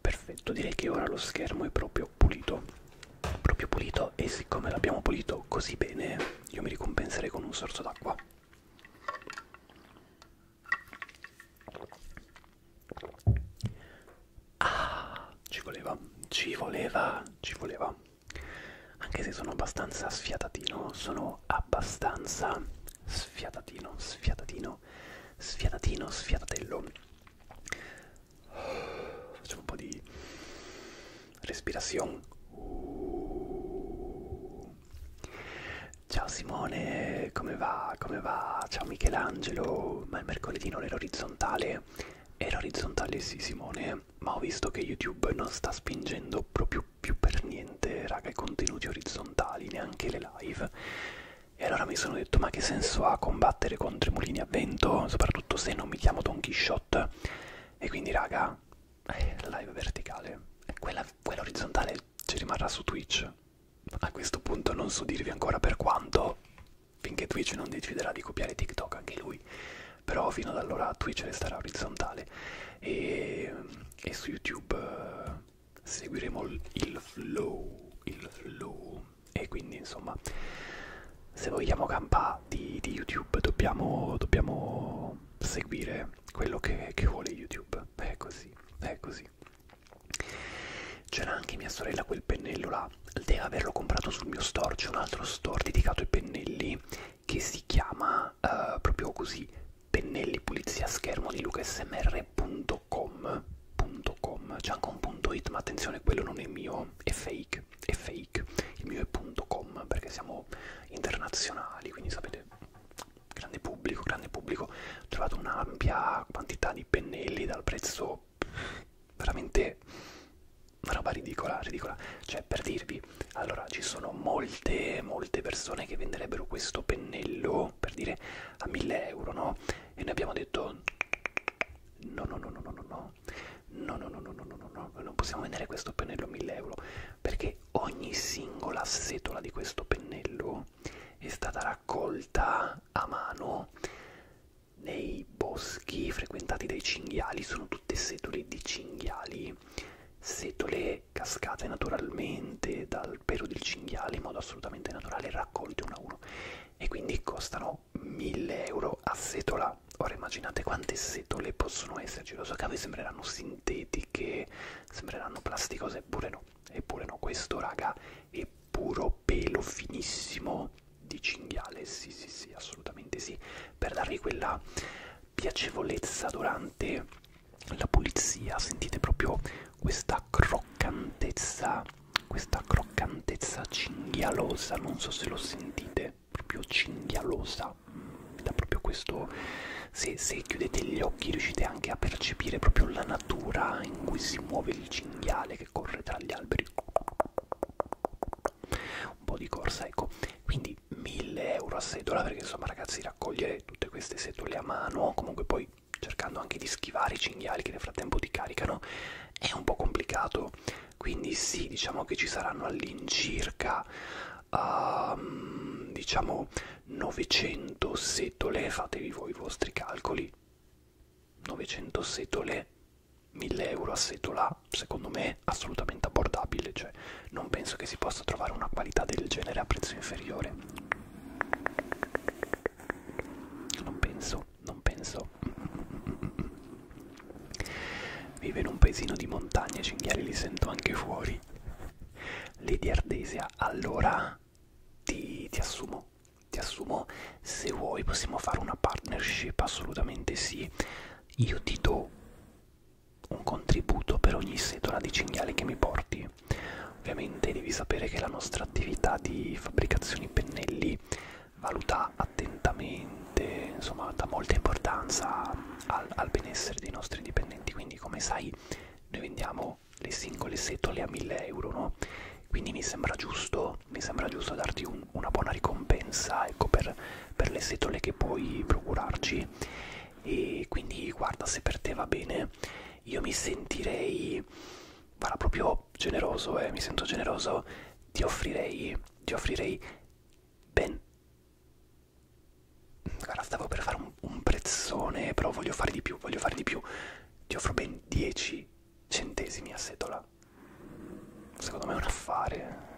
perfetto direi che ora lo schermo è proprio pulito proprio pulito e siccome l'abbiamo pulito così bene io mi ricompenserei con un sorso d'acqua ah ci voleva ci voleva ci voleva anche se sono abbastanza sfiatatino sono abbastanza sfiatatino sfiatatino sfiatatino sfiatatello Facciamo un po' di respirazione. Uh. Ciao Simone, come va? Come va? Ciao Michelangelo, ma il mercoledì non era orizzontale? Era orizzontale sì Simone, eh? ma ho visto che YouTube non sta spingendo proprio più per niente, raga, i contenuti orizzontali, neanche le live. E allora mi sono detto: ma che senso ha combattere contro i mulini a vento? Soprattutto se non mi chiamo Don Quixote. E quindi, raga, eh, live verticale. Eh, quella, quella orizzontale ci rimarrà su Twitch. A questo punto non so dirvi ancora per quanto, finché Twitch non deciderà di copiare TikTok anche lui. Però fino ad allora Twitch resterà orizzontale. E, e su YouTube eh, seguiremo il flow, il flow e quindi insomma se vogliamo campare di, di youtube dobbiamo, dobbiamo seguire quello che, che vuole youtube è così è così c'era anche mia sorella quel pennello là deve averlo comprato sul mio store c'è un altro store dedicato ai pennelli che si chiama uh, proprio così pennelli pulizia schermo di Luca SMR attenzione.com c'è anche un punto .it ma attenzione quello non è mio è fake è fake il mio è .com perché siamo internazionali quindi sapete grande pubblico grande pubblico ho trovato un'ampia quantità di pennelli dal prezzo veramente una roba ridicola ridicola cioè per dirvi allora ci sono molte molte persone che venderebbero questo pennello per dire a 1000 euro no e noi abbiamo detto No, no, no, no, no, no, no, no, no, no, no, no, no, no, no, non possiamo vendere questo pennello 1000 euro perché ogni singola setola di questo pennello è stata raccolta a mano nei boschi frequentati dai cinghiali, sono tutte setole di cinghiali, setole cascate naturalmente dal pelo del cinghiale in modo assolutamente naturale, raccolte una a uno e quindi costano sono 1000 euro a setola. Ora immaginate quante setole possono esserci, lo so che a voi sembreranno sintetiche, sembreranno plasticose, eppure no, eppure no, questo raga è puro pelo finissimo di cinghiale, sì sì sì, assolutamente sì, per darvi quella piacevolezza durante la pulizia, sentite proprio questa croccantezza questa croccantezza cinghialosa, non so se lo sentite, proprio cinghialosa, mm, da proprio questo, se, se chiudete gli occhi riuscite anche a percepire proprio la natura in cui si muove il cinghiale che corre tra gli alberi, un po' di corsa, ecco, quindi 1000 euro a sedola perché insomma ragazzi raccogliere tutte queste setole a mano, comunque poi cercando anche di schivare i cinghiali che nel frattempo ti caricano è un po' complicato quindi sì diciamo che ci saranno all'incirca um, diciamo 900 setole fatevi voi i vostri calcoli 900 setole 1000 euro a setola secondo me assolutamente abbordabile cioè non penso che si possa trovare una qualità del genere a prezzo inferiore non penso non penso. Vive in un paesino di montagna, i cinghiali li sento anche fuori. Lady Ardesia, allora ti, ti assumo, ti assumo, se vuoi possiamo fare una partnership, assolutamente sì. Io ti do un contributo per ogni setola di cinghiale che mi porti. Ovviamente devi sapere che la nostra attività di fabbricazione pennelli valuta attentamente, insomma dà molta importanza al, al benessere dei nostri dipendenti, quindi come sai noi vendiamo le singole setole a 1000 euro, no? Quindi mi sembra giusto, mi sembra giusto darti un, una buona ricompensa ecco, per, per le setole che puoi procurarci. E quindi guarda se per te va bene, io mi sentirei guarda, proprio sono generoso e eh, mi sento generoso, ti offrirei, ti offrirei ben... Guarda, stavo per fare un, un prezzone, però voglio fare di più, voglio fare di più. Ti offro ben 10 centesimi a setola. Secondo me è un affare.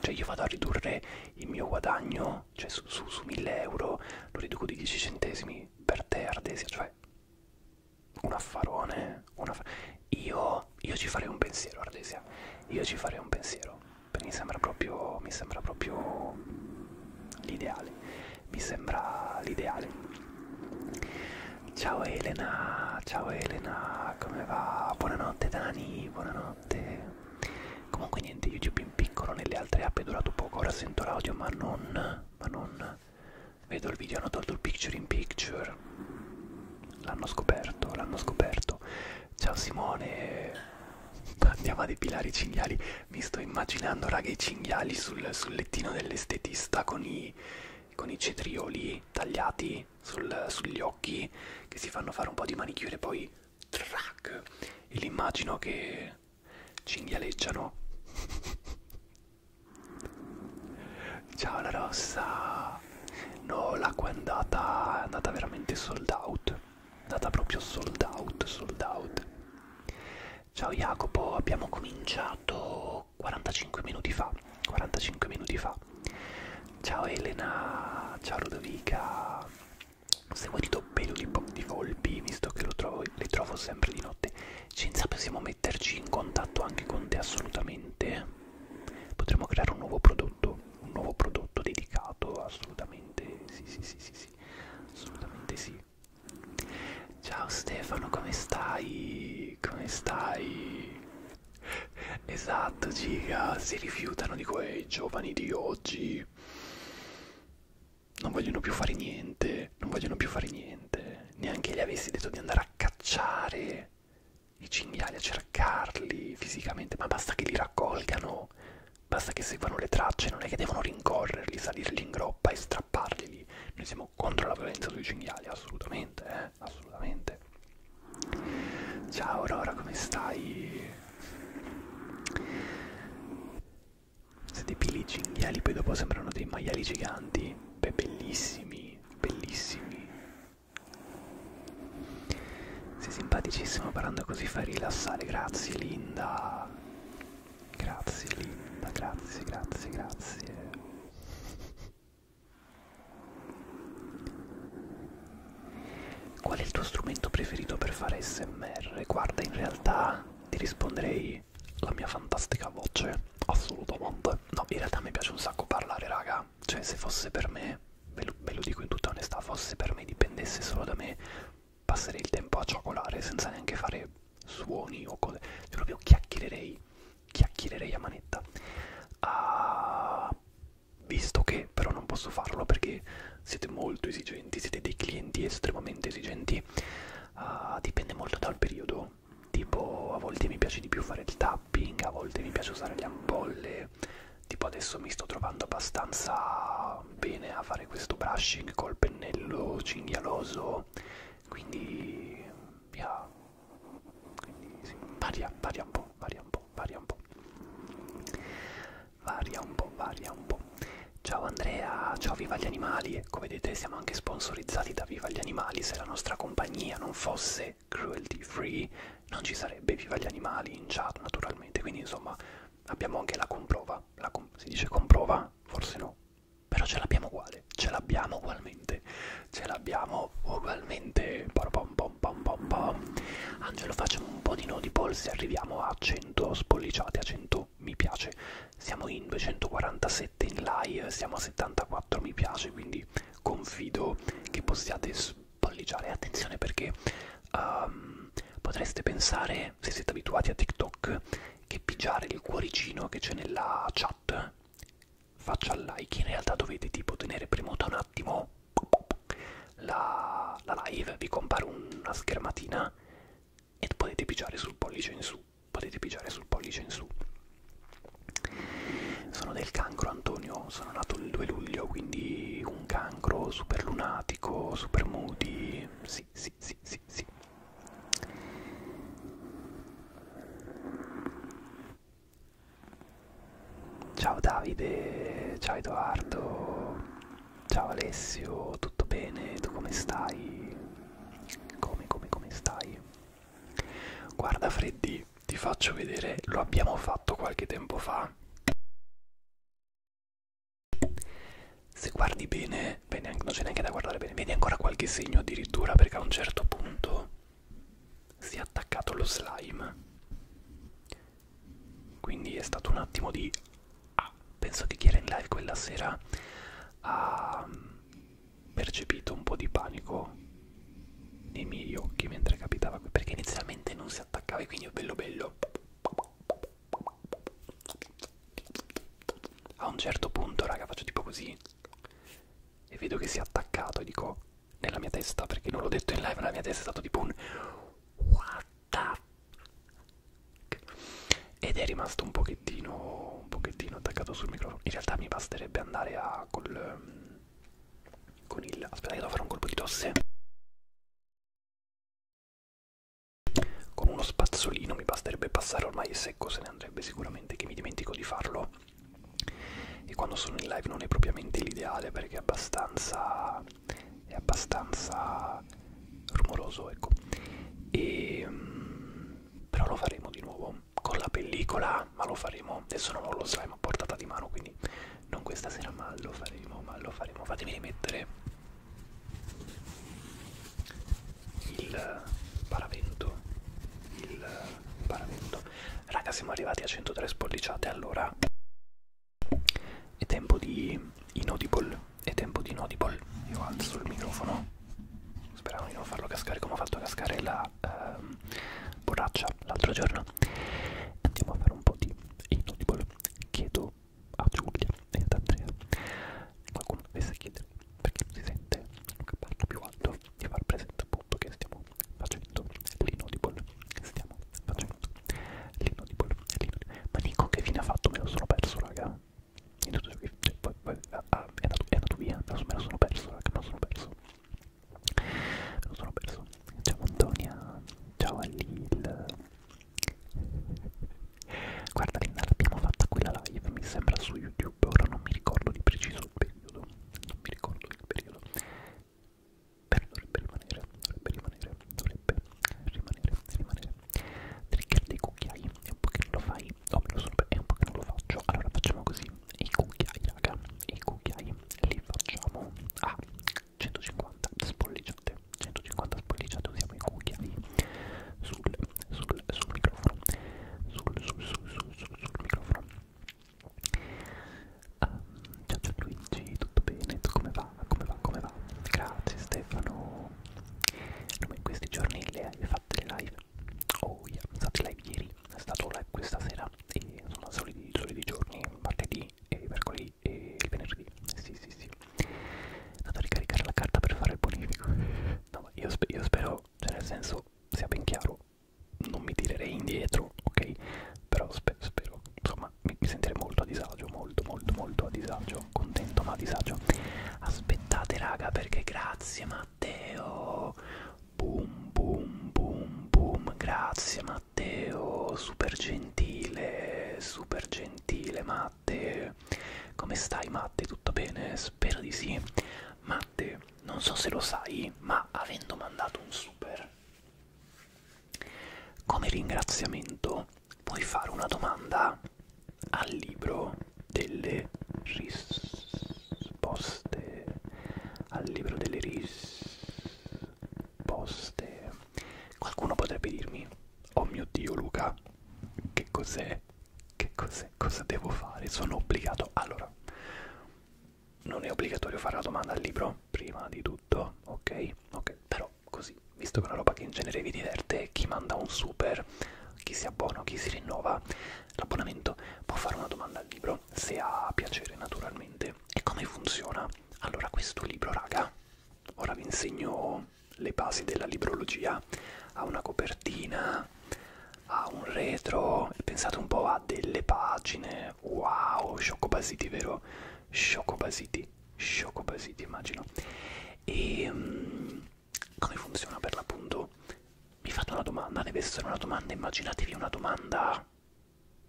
Cioè io vado a ridurre il mio guadagno, cioè su, su, su 1000 euro, lo riduco di 10 centesimi per te, Ardesia, cioè un affarone. Un aff io, io ci farei un pensiero, Ardesia. Io ci farei un pensiero. Mi sembra proprio. Mi sembra proprio l'ideale. Mi sembra l'ideale. Ciao Elena, ciao Elena, come va? Buonanotte Dani, buonanotte. Comunque niente, YouTube in piccolo nelle altre app è durato poco, ora sento l'audio ma non, ma non Vedo il video, hanno tolto il picture in picture. L'hanno scoperto, l'hanno scoperto. Ciao Simone, andiamo a depilare i cinghiali. Mi sto immaginando, raga, i cinghiali sul, sul lettino dell'estetista con i, con i cetrioli tagliati sul, sugli occhi che si fanno fare un po' di manicure poi track e l'immagino li che cinghialeggiano Ciao la rossa. No, l'acqua è andata, è andata veramente sold out. È andata proprio sold out, sold out. Ciao Jacopo, abbiamo cominciato 45 minuti fa. 45 minuti fa. Ciao Elena, ciao Ludovica. Se vuoi ti do pelo di, di volpi, visto che lo trovo, le trovo sempre di notte. Cinzia possiamo metterci in contatto anche con te assolutamente potremmo creare un nuovo prodotto un nuovo prodotto dedicato assolutamente sì sì sì sì, sì. assolutamente sì ciao Stefano come stai come stai esatto giga si rifiutano di quei giovani di oggi non vogliono più fare niente che non vogliono più fare niente, neanche gli avessi detto di andare a cacciare i cinghiali, a cercarli fisicamente, ma basta che li raccolgano, basta che seguano le tracce, non è che devono rincorrerli, salirli in groppa e strapparli lì. Noi siamo contro la violenza sui cinghiali, assolutamente, eh, assolutamente. Ciao Aurora, come stai? Se depili i cinghiali poi dopo sembrano dei maiali giganti, beh bellissimi, bellissimi. Sei simpaticissimo parlando così fai rilassare, grazie Linda. Grazie Linda, grazie, grazie, grazie. Qual è il tuo strumento preferito per fare SMR? Guarda, in realtà ti risponderei voi la mia fantastica voce? Assolutamente. No, in realtà mi piace un sacco parlare, raga. Cioè, se fosse per me, ve lo, ve lo dico in tutta onestà, fosse per me dipendesse solo da me, passerei il tempo a cioccolare senza neanche fare suoni o cose. Cioè, proprio chiacchiererei, chiacchiererei a manetta. Ah, visto che però non posso farlo perché siete molto esigenti, siete dei clienti estremamente esigenti. Uh, dipende molto dal periodo lavoro tipo a volte mi piace di più fare il tapping a volte mi piace usare le ampolle tipo adesso mi sto trovando abbastanza bene a fare questo brushing col pennello cinghialoso quindi via quindi sì, varia, varia un po', varia un po', varia un po'. Varia un po', varia un po'. Ciao Andrea, ciao viva gli animali, come vedete siamo anche sponsorizzati da Viva gli Animali, se la nostra compagnia non fosse cruelty free non ci sarebbe Viva gli Animali in chat naturalmente, quindi insomma abbiamo anche la comprova, la com si dice comprova? Forse no, però ce l'abbiamo uguale, ce l'abbiamo ugualmente, ce l'abbiamo ugualmente, pom pom pom pom pom. Angelo facciamo un po' di nodi polsi, arriviamo a 100 spolliciate, a 100 mi piace, siamo in 246 7 in live, siamo a 74 mi piace, quindi confido che possiate spalleggiare. Attenzione perché um, potreste pensare, se siete abituati a TikTok, che pigiare il cuoricino che c'è nella chat faccia il like, in realtà dovete tipo tenere premuta un attimo la, la live, vi compare una schermatina e potete pigiare sul pollice in su potete pigiare sul pollice in su sono del cancro Antonio sono nato il 2 luglio quindi un cancro super lunatico super moody sì sì sì sì sì Ciao Davide, ciao Edoardo, ciao Alessio, tutto bene? Tu come stai? Come, come, come stai? Guarda Freddy, ti faccio vedere, lo abbiamo fatto qualche tempo fa. Se guardi bene, bene non c'è neanche da guardare bene, vedi ancora qualche segno addirittura perché a un certo punto si è attaccato lo slime. Quindi è stato un attimo di... Ah, penso che chi era in live quella sera ha percepito un po' di panico nei miei occhi mentre capitava qui perché inizialmente non si attaccava e quindi bello bello a un certo punto raga faccio tipo così e vedo che si è attaccato e dico nella mia testa perché non l'ho detto in live nella mia testa è stato tipo un what the ed è rimasto un pochettino un pochettino attaccato sul microfono. In realtà mi basterebbe andare a col ehm, con il aspetta che devo fare un colpo di tosse con uno spazzolino mi basterebbe passare ormai secco se ne andrebbe sicuramente che mi dimentico di farlo e quando sono in live non è propriamente l'ideale perché è abbastanza è abbastanza rumoroso ecco e ehm, però lo faremo di nuovo con la pellicola, ma lo faremo, adesso non lo slime a portata di mano, quindi non questa sera, ma lo faremo, ma lo faremo. Fatemi rimettere il paravento, il paravento. Raga, siamo arrivati a 103 spolliciate, allora è tempo di inaudible, è tempo di inaudible. Io alzo il microfono, speravo di non farlo cascare come ho fatto cascare la da ehm, borraccia l'altro giorno andiamo a fare un po' di inaudible chiedo a Giulia e ad Andrea qualcuno dovesse chiedere perché non si sente che parla più alto di far presente appunto che stiamo facendo l'inaudible stiamo facendo l'inaudible ma Nico che fine ha fatto me lo sono perso raga in tutto ciò che cioè, poi, poi ah, ah, è, andato, è andato via me lo sono perso raga me lo sono perso lo sono perso ciao Antonia ciao Alil guarda Linda l'abbiamo fatta quella live mi sembra su youtube ora non mi ricordo di preciso il periodo non mi ricordo il periodo però dovrebbe rimanere dovrebbe rimanere dovrebbe rimanere rimanere trigger dei cucchiai è un po' che non lo fai o oh, me lo sono è un po' che non lo faccio allora facciamo così i cucchiai raga i cucchiai li facciamo a 150 spollicciate 150 spollicciate usiamo i cucchiai sul, sul, sul microfono sul, sul, sul, sul, sul, sul microfono um, ciao ciao Luigi tutto bene tu come va come va come va grazie Stefano in questi giorni le hai fatte le live Oh yeah, sono stati live ieri, è stato live questa sera e sono soliti, soliti giorni, martedì e mercoledì e il venerdì. Sì, sì, sì. Andato a ricaricare la carta per fare il bonifico. No, ma io, spe io spero, cioè nel senso, sia ben chiaro, non mi tirerei indietro, ok? Però spe spero, insomma, mi, mi sentirei molto a disagio, molto, molto, molto a disagio, contento ma a disagio. Aspettate raga perché grazie Matteo. Boom, boom, boom, boom. Grazie Matteo, super gentile, super gentile Matte. Come stai Matte? Tutto bene? Spero di sì. Matte, non so se lo sai, ma avendo mandato un super come ringraziamento puoi fare una domanda al libro delle risposte al libro delle risposte qualcuno potrebbe dirmi oh mio dio Luca che cos'è che cos'è cosa devo fare sono obbligato allora non è obbligatorio fare la domanda al libro prima di tutto ok ok però così visto che è una roba che in genere vi diverte chi manda un super chi si abbona chi si rinnova l'abbonamento può fare una domanda al libro se ha piacere naturalmente e come funziona allora questo libro raga ora vi insegno le basi della librologia ha una copertina ha un retro pensate un po' ha delle pagine wow Basiti, vero Basiti, Basiti, immagino e um, come funziona per l'appunto vi fate una domanda, deve essere una domanda, immaginatevi una domanda,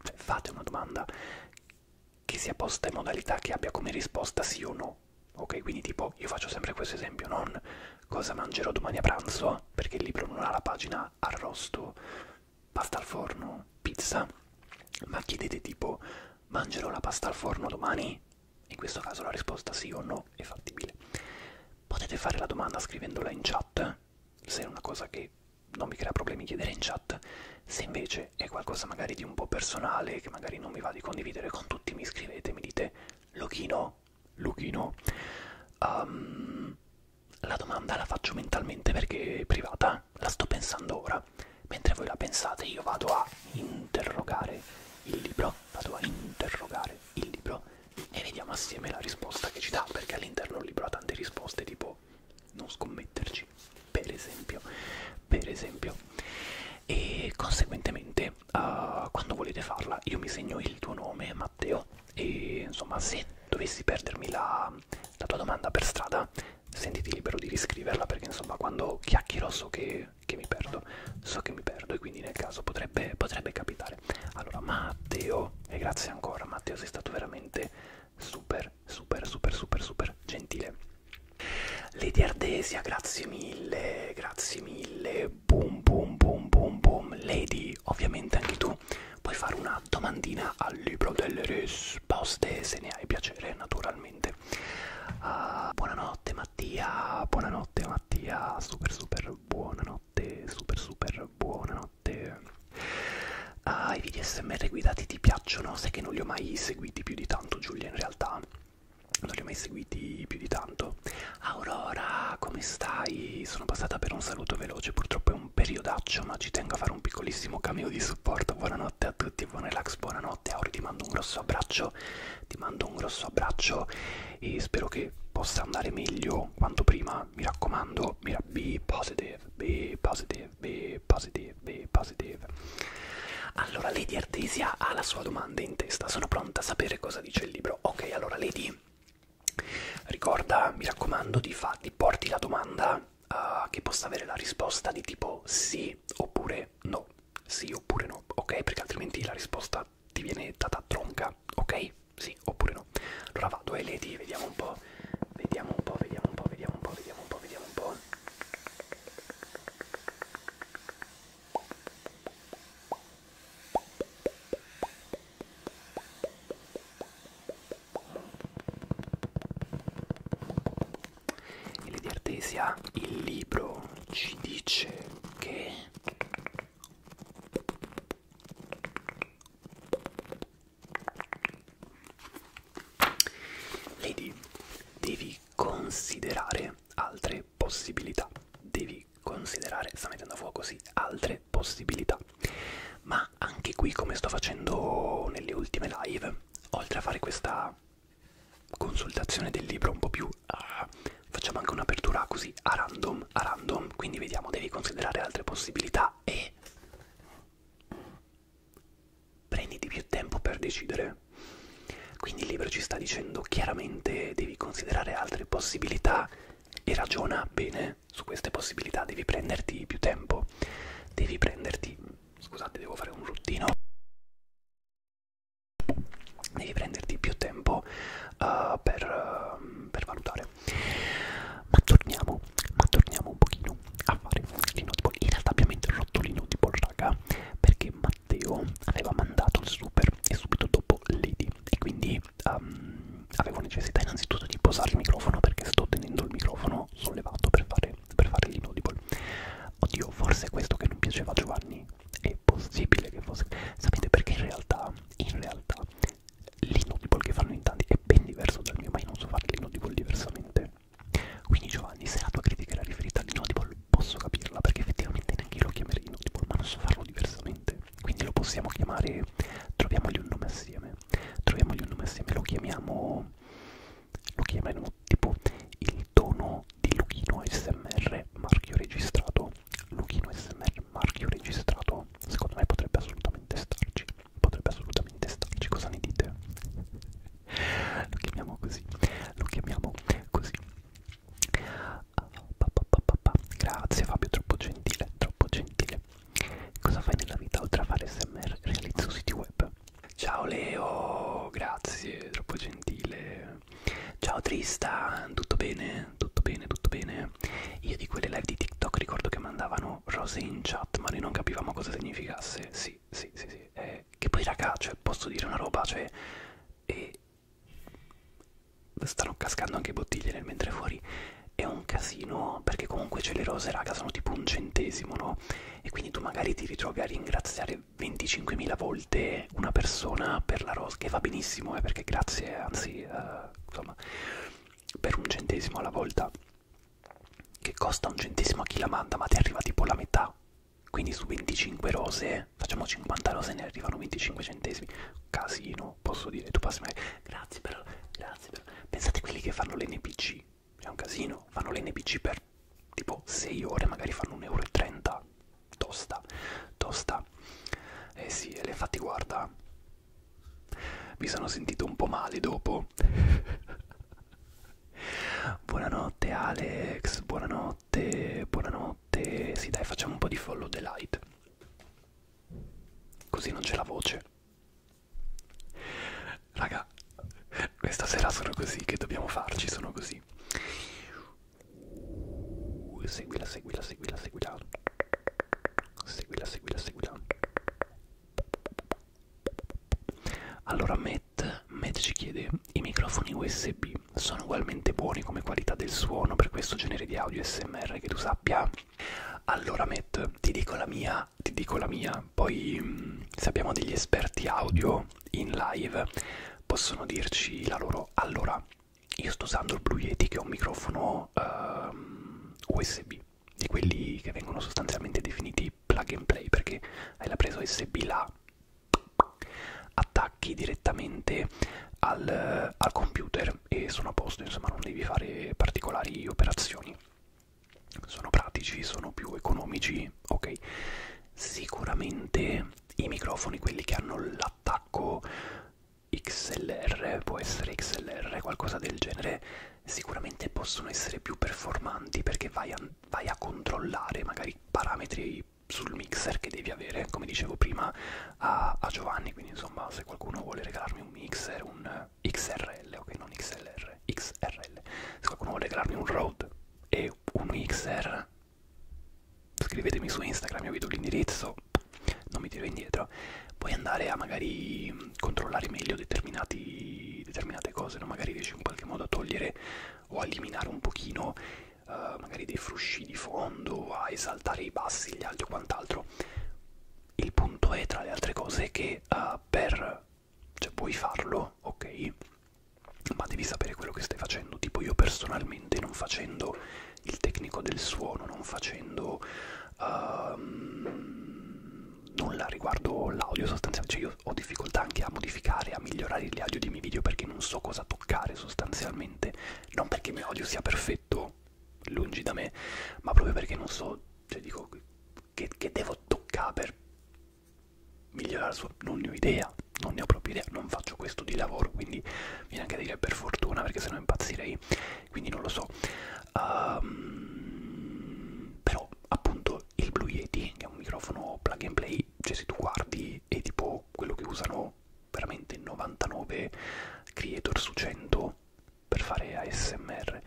cioè fate una domanda che sia posta in modalità che abbia come risposta sì o no. Ok, quindi tipo io faccio sempre questo esempio, non cosa mangerò domani a pranzo, perché il libro non ha la pagina arrosto, pasta al forno, pizza, ma chiedete tipo mangerò la pasta al forno domani? In questo caso la risposta sì o no è fattibile. Potete fare la domanda scrivendola in chat, se è una cosa che non mi crea problemi chiedere in chat, se invece è qualcosa magari di un po' personale, che magari non mi va di condividere con tutti, mi scrivete, mi dite Luchino, Luchino, um, la domanda la faccio mentalmente perché è privata, la sto pensando ora, mentre voi la pensate io vado a interrogare il libro, vado a interrogare il libro e vediamo assieme la risposta che ci dà, perché all'interno del libro ha tante risposte tipo non scommetterci, per esempio, per esempio. E conseguentemente, uh, quando volete farla, io mi segno il tuo nome, Matteo, e insomma, se dovessi perdermi la, la tua domanda per strada, sentiti libero di riscriverla, perché insomma, quando chiacchierò so che, che mi perdo, so che mi perdo, e quindi nel caso potrebbe, potrebbe capitare bene. Allora, Matteo, e grazie ancora, Matteo, sei stato veramente super, super, super, super, super gentile. Lady Ardesia, grazie mille, grazie mille. Boom, boom, boom, boom, boom. Lady, ovviamente anche tu puoi fare una domandina al libro delle risposte, se ne hai piacere, naturalmente. Uh, buonanotte Mattia, buonanotte Mattia, super super buonanotte notte super super buonanotte uh, i video smr guidati ti piacciono? sai che non li ho mai seguiti più di tanto Giulia in realtà non li ho mai seguiti più di tanto Aurora come stai? sono passata per un saluto veloce purtroppo è un periodaccio ma ci tengo a fare un piccolissimo cameo di supporto buonanotte a tutti buon relax buonanotte Auri ti mando un grosso abbraccio ti mando un grosso abbraccio e spero che possa andare meglio quanto prima mi raccomando mira, be positive be positive be positive be positive allora Lady Artesia ha la sua domanda in testa sono pronta a sapere cosa dice il libro ok allora Lady ricorda mi raccomando di, fa, di porti la domanda uh, che possa avere la risposta di tipo sì oppure no sì oppure no ok perché altrimenti la risposta ti viene data tronca, ok? Sì, oppure no? Allora vado ai leti, vediamo un po', vediamo un po', vediamo un po', vediamo un po', vediamo un po', vediamo un po'. E Lady Artesia, il libro ci dice che Vedi, devi considerare altre possibilità. Devi considerare, sta mettendo a fuoco sì, altre possibilità. Ma anche qui, come sto facendo nelle ultime live, oltre a fare questa consultazione del libro un po' più... Uh, facciamo anche un'apertura così a random random a random quindi vediamo devi considerare altre possibilità e prenditi più tempo per decidere quindi il libro ci sta dicendo chiaramente devi considerare altre possibilità e ragiona bene su queste possibilità devi prenderti più tempo devi prenderti scusate devo fare un ruttino devi prenderti più tempo uh, per, uh, per valutare ma torniamo, ma torniamo un pochino a fare l'inaudible. In realtà abbiamo interrotto l'inaudible, raga, perché Matteo aveva mandato il super e subito dopo Lady. E quindi um, avevo necessità innanzitutto di posare il microfono perché sto tenendo il microfono sollevato per fare, per fare l'inaudible. Oddio, forse è questo che non piaceva a Giovanni. È possibile che fosse... Sapete perché in realtà, in realtà l'inno di Paul che fanno in tanti è ben diverso dal mio, ma io non so fare l'inno di Paul diversamente. Quindi Giovanni, se la tua critica era riferita all'inno di Paul, posso capirla, perché effettivamente neanche io lo chiamerei inno di Paul, ma non so farlo diversamente. Quindi lo possiamo chiamare, troviamogli un nome assieme, troviamogli un nome assieme, lo chiamiamo, lo chiamiamo tipo il tono di Luchino ASMR marchio registrato Luchino Luchino SMR marchio registrato secondo me potrebbe assolutamente starci potrebbe assolutamente starci cosa ne dite? lo chiamiamo così lo chiamiamo così uh, pa, pa, pa, pa, pa. grazie Fabio troppo gentile troppo gentile cosa fai nella vita oltre a fare SMR realizzo siti web ciao Leo grazie troppo gentile ciao Tristan tutto bene? tutto bene, tutto bene. Io di quelle live di TikTok ricordo che mandavano rose in chat, ma noi non capivamo cosa significasse. Sì, sì, sì, sì. Eh, che poi raga, cioè, posso dire una roba, cioè... Eh, stanno cascando anche bottiglie nel mentre fuori. È un casino, perché comunque c'è cioè, le rose, raga, sono tipo un centesimo, no? E quindi tu magari ti ritrovi a ringraziare 25.000 volte una persona per la rosa, che va benissimo, eh, perché grazie, anzi, uh, insomma, per un centesimo alla volta che costa un centesimo a chi la manda ma ti arriva tipo la metà quindi su 25 rose eh, facciamo 50 rose e ne arrivano 25 centesimi casino posso dire tu passi magari grazie però grazie però pensate quelli che fanno l'NPC è un casino fanno l'NPC per tipo 6 ore magari fanno 1,30 euro tosta tosta eh sì e le fatti guarda mi sono sentito un po' male dopo. buonanotte Alex, buonanotte, buonanotte. Sì dai, facciamo un po' di follow the light. Così non c'è la voce. Raga, questa sera sono così, che dobbiamo farci? Sono così. Seguila, seguila, seguila, seguila seguila seguila seguila allora Matt, Matt ci chiede i microfoni USB sono ugualmente buoni come qualità del suono per questo genere di audio SMR che tu sappia allora Matt ti dico la mia ti dico la mia poi mh, mm, se abbiamo degli esperti audio in live possono dirci la loro allora io sto usando il Blue Yeti che è un microfono um, ehm, USB, di quelli che vengono sostanzialmente definiti plug and play perché hai la presa USB là, attacchi direttamente al, al computer e sono a posto, insomma non devi fare particolari operazioni. Sono pratici, sono più economici, ok. Sicuramente i microfoni, quelli che hanno l'attacco XLR, può essere XLR, qualcosa del genere, sicuramente possono essere più performanti perché vai a, vai a controllare magari parametri sul mixer che devi avere, come dicevo prima a, a Giovanni, quindi insomma se qualcuno vuole regalarmi un mixer, un XRL, ok non XLR, XRL, se qualcuno vuole regalarmi un Rode e un XR, scrivetemi su Instagram, io vi do l'indirizzo, non mi tiro indietro puoi andare a magari controllare meglio determinati, determinate cose no? magari riesci in qualche modo a togliere o a eliminare un pochino uh, magari dei frusci di fondo a esaltare i bassi, gli alti o quant'altro il punto è tra le altre cose che uh, per cioè puoi farlo ok ma devi sapere quello che stai facendo tipo io personalmente non facendo il tecnico del suono, non facendo um, nulla riguardo l'audio sostanzialmente. Cioè io ho difficoltà anche a modificare, a migliorare gli audio dei miei video perché non so cosa toccare sostanzialmente. Non perché il mio audio sia perfetto, lungi da me, ma proprio perché non so, cioè dico, che, che devo toccare per migliorare il suono. Non ne ho idea, non ne ho proprio idea, non faccio questo di lavoro, quindi viene anche a dire per fortuna perché sennò impazzirei quindi non lo so um, però appunto il Blue Yeti che è un microfono plug and play cioè se tu guardi è tipo quello che usano veramente 99 creator su 100 per fare ASMR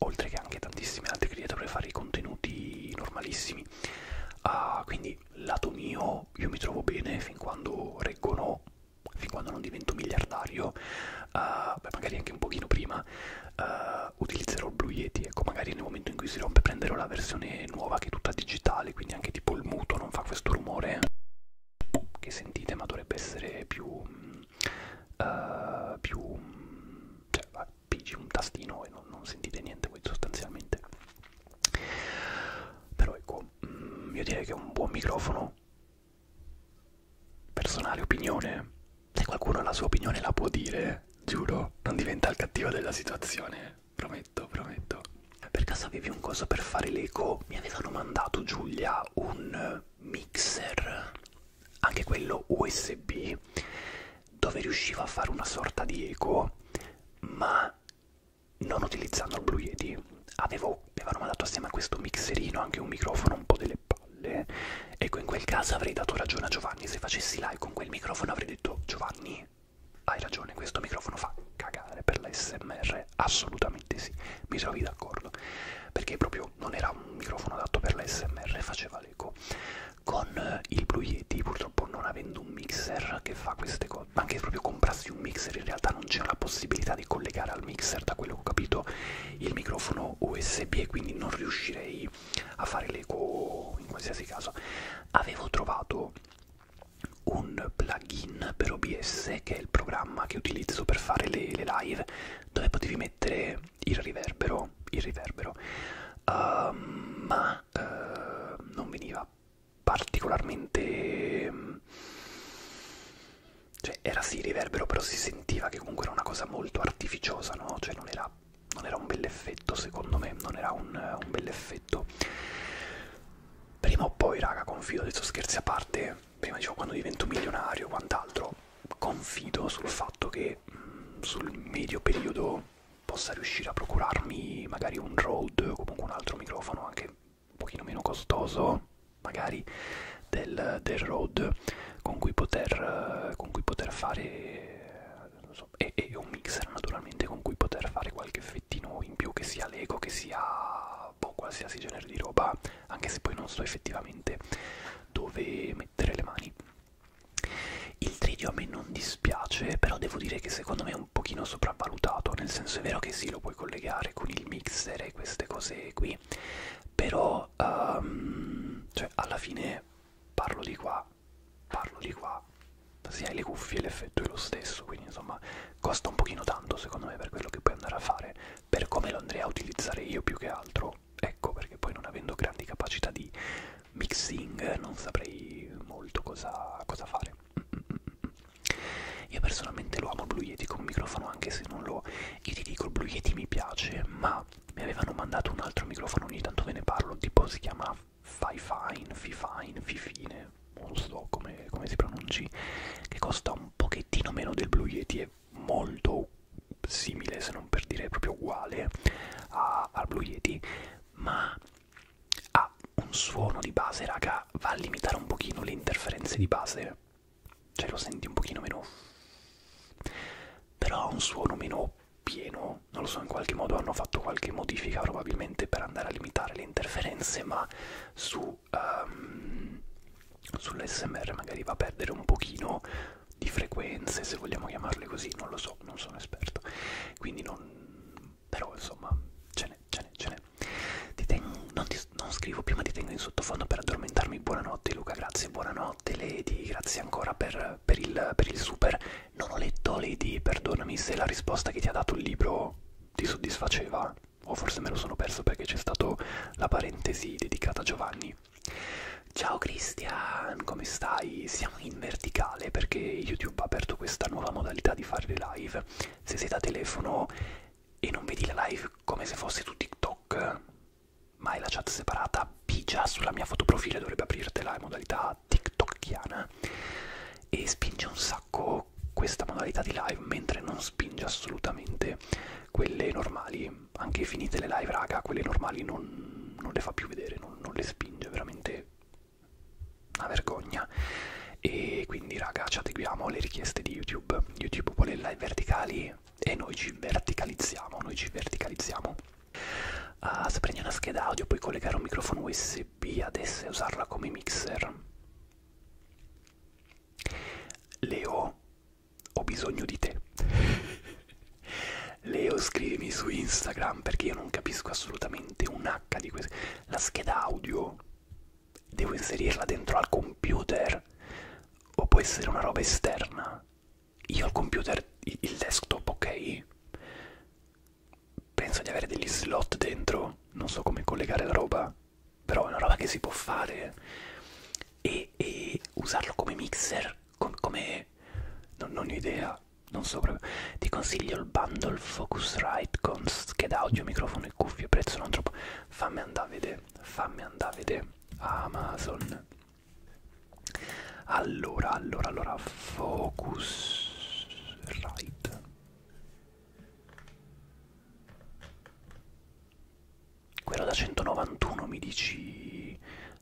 oltre che anche tantissimi altri creator per fare i contenuti normalissimi uh, quindi lato mio io mi trovo bene fin quando reggono fin quando non divento miliardario, uh, beh, magari anche un pochino prima, uh, utilizzerò il Blue Yeti. Ecco, magari nel momento in cui si rompe prenderò la versione nuova che è tutta digitale, quindi anche tipo il muto non fa questo rumore che sentite, ma dovrebbe essere più... Uh, più... Mm, cioè, appiggi un tastino e non, non sentite niente voi sostanzialmente. Però ecco, mm, io direi che è un buon microfono personale opinione. Se qualcuno ha la sua opinione la può dire, giuro, non diventa il cattivo della situazione, prometto, prometto. Per caso avevi un coso per fare l'eco? Mi avevano mandato Giulia un mixer, anche quello USB, dove riusciva a fare una sorta di eco, ma non utilizzando il Blue Yeti. Avevo mi avevano mandato assieme a questo mixerino anche un microfono un po' delle palle ecco in quel caso avrei dato ragione a Giovanni se facessi live con quel microfono avrei detto Giovanni hai ragione questo microfono fa cagare per la smr assolutamente sì mi trovi d'accordo perché proprio non era un microfono adatto per la smr faceva l'eco con eh, il Blue Yeti purtroppo non avendo un mixer che fa queste cose anche proprio comprassi un mixer in realtà non c'è la possibilità di collegare al mixer, da quello che ho capito, il microfono USB e quindi non riuscirei a fare l'eco in qualsiasi caso. Avevo trovato un plugin per OBS che è il programma che utilizzo per fare le, le live dove potevi mettere il riverbero il riverbero uh, ma uh, non veniva particolarmente cioè era sì riverbero però si sentiva che comunque era una cosa molto artificiosa no cioè non era, non era un bell'effetto secondo me non era un, un bell'effetto prima o poi raga confido adesso scherzi a parte prima dicevo quando divento milionario quant'altro confido sul fatto che mh, mm, sul medio periodo possa riuscire a procurarmi magari un Rode o comunque un altro microfono anche un pochino meno costoso magari del, del road con cui poter, con cui poter fare so, e, e un mixer naturalmente con cui poter fare qualche effettino in più che sia lego che sia boh, qualsiasi genere di roba anche se poi non so effettivamente dove mettere le mani il tridio a me non dispiace però devo dire che secondo me è un pochino sopravvalutato nel senso è vero che sì lo puoi collegare con il mixer e queste cose qui anni però um, cioè alla fine parlo di qua parlo di qua se hai le cuffie l'effetto è lo stesso quindi insomma costa un pochino tanto secondo me per quello che puoi andare a fare per come lo andrei a utilizzare io più che altro ecco perché poi non avendo grandi capacità di mixing non saprei molto cosa, cosa fare mm, mm, mm, io personalmente lo amo il Blue Yeti come microfono anche se non lo io ti dico il Blue Yeti mi piace ma mi avevano mandato un altro microfono ogni tanto ve ne parlo tipo si chiama Fifine, Fifine, Fifine non so come, come si pronunci che costa un pochettino meno del Blue Yeti è molto simile se non per dire proprio uguale a, al Blue Yeti ma ha un suono di base raga va a limitare un pochino le interferenze di base cioè lo senti un pochino meno però ha un suono meno pieno non lo so in qualche modo hanno fatto qualche modifica probabilmente per andare a limitare le interferenze ma su um, ehm, sull'SMR magari va a perdere un pochino di frequenze se vogliamo chiamarle così non lo so non sono esperto quindi non però insomma ce n'è ce n'è ce n'è non ti non scrivo più ma ti tengo in sottofondo per addormentarmi. Buonanotte Luca, grazie, buonanotte Lady, grazie ancora per, per, il, per il super. Non ho letto Lady, perdonami se la risposta che ti ha dato il libro ti soddisfaceva o forse me lo sono perso perché c'è stata la parentesi dedicata a Giovanni. Ciao Christian, come stai? Siamo in verticale perché YouTube ha aperto questa nuova modalità di fare le live. Se siete a telefono e non vedi la live come se fosse tu TikTok, ma hai la chat separata, pigia sulla mia fotoprofilo dovrebbe aprirtela in modalità TikTokiana e spinge un sacco questa modalità di live, mentre non spinge assolutamente quelle normali, anche finite le live raga, quelle normali non, non le fa più vedere, non, non le spinge, veramente una vergogna e quindi raga ci adeguiamo alle richieste di youtube youtube vuole live verticali e noi ci verticalizziamo, noi ci verticalizziamo. Uh, se prendi una scheda audio puoi collegare un microfono USB adesso e usarla come mixer. Leo, ho bisogno di te. Leo scrivimi su Instagram perché io non capisco assolutamente un H di questo. La scheda audio devo inserirla dentro al computer o può essere una roba esterna io al computer il desktop ok penso di avere degli slot dentro non so come collegare la roba però è una roba che si può fare e, e usarlo come mixer com, come non, non ho idea non so proprio ti consiglio il bundle Focusrite con scheda audio microfono e cuffie prezzo non troppo fammi andare a vedere te fammi andare a vedere Amazon allora allora allora focus right quello da 191 mi dici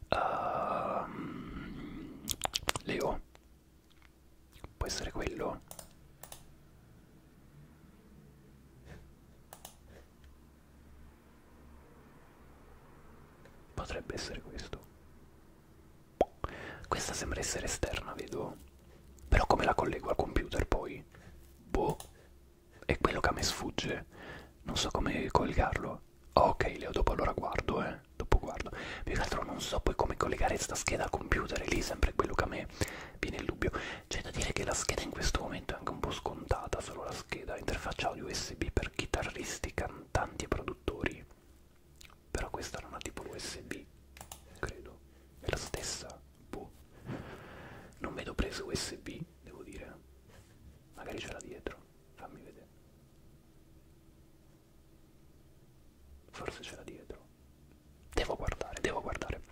uh, Leo può essere quello Potrebbe essere questo. Questa sembra essere esterna, vedo. Però come la collego al computer poi? Boh, è quello che a me sfugge. Non so come collegarlo. Oh, ok, Leo, dopo allora guardo, eh. Dopo guardo. Più che altro non so poi come collegare sta scheda al computer, è lì sempre quello che a me viene il dubbio. C'è da dire che la scheda in questo momento è anche un po' scontata, solo la scheda interfaccia audio USB per chitarristi, cantanti e produttori. Però questa non ha tipo l'USB, credo. È la stessa, boh. Non vedo prese USB, devo dire. Magari ce l'ha dietro, fammi vedere. Forse ce l'ha dietro. Devo guardare, devo guardare.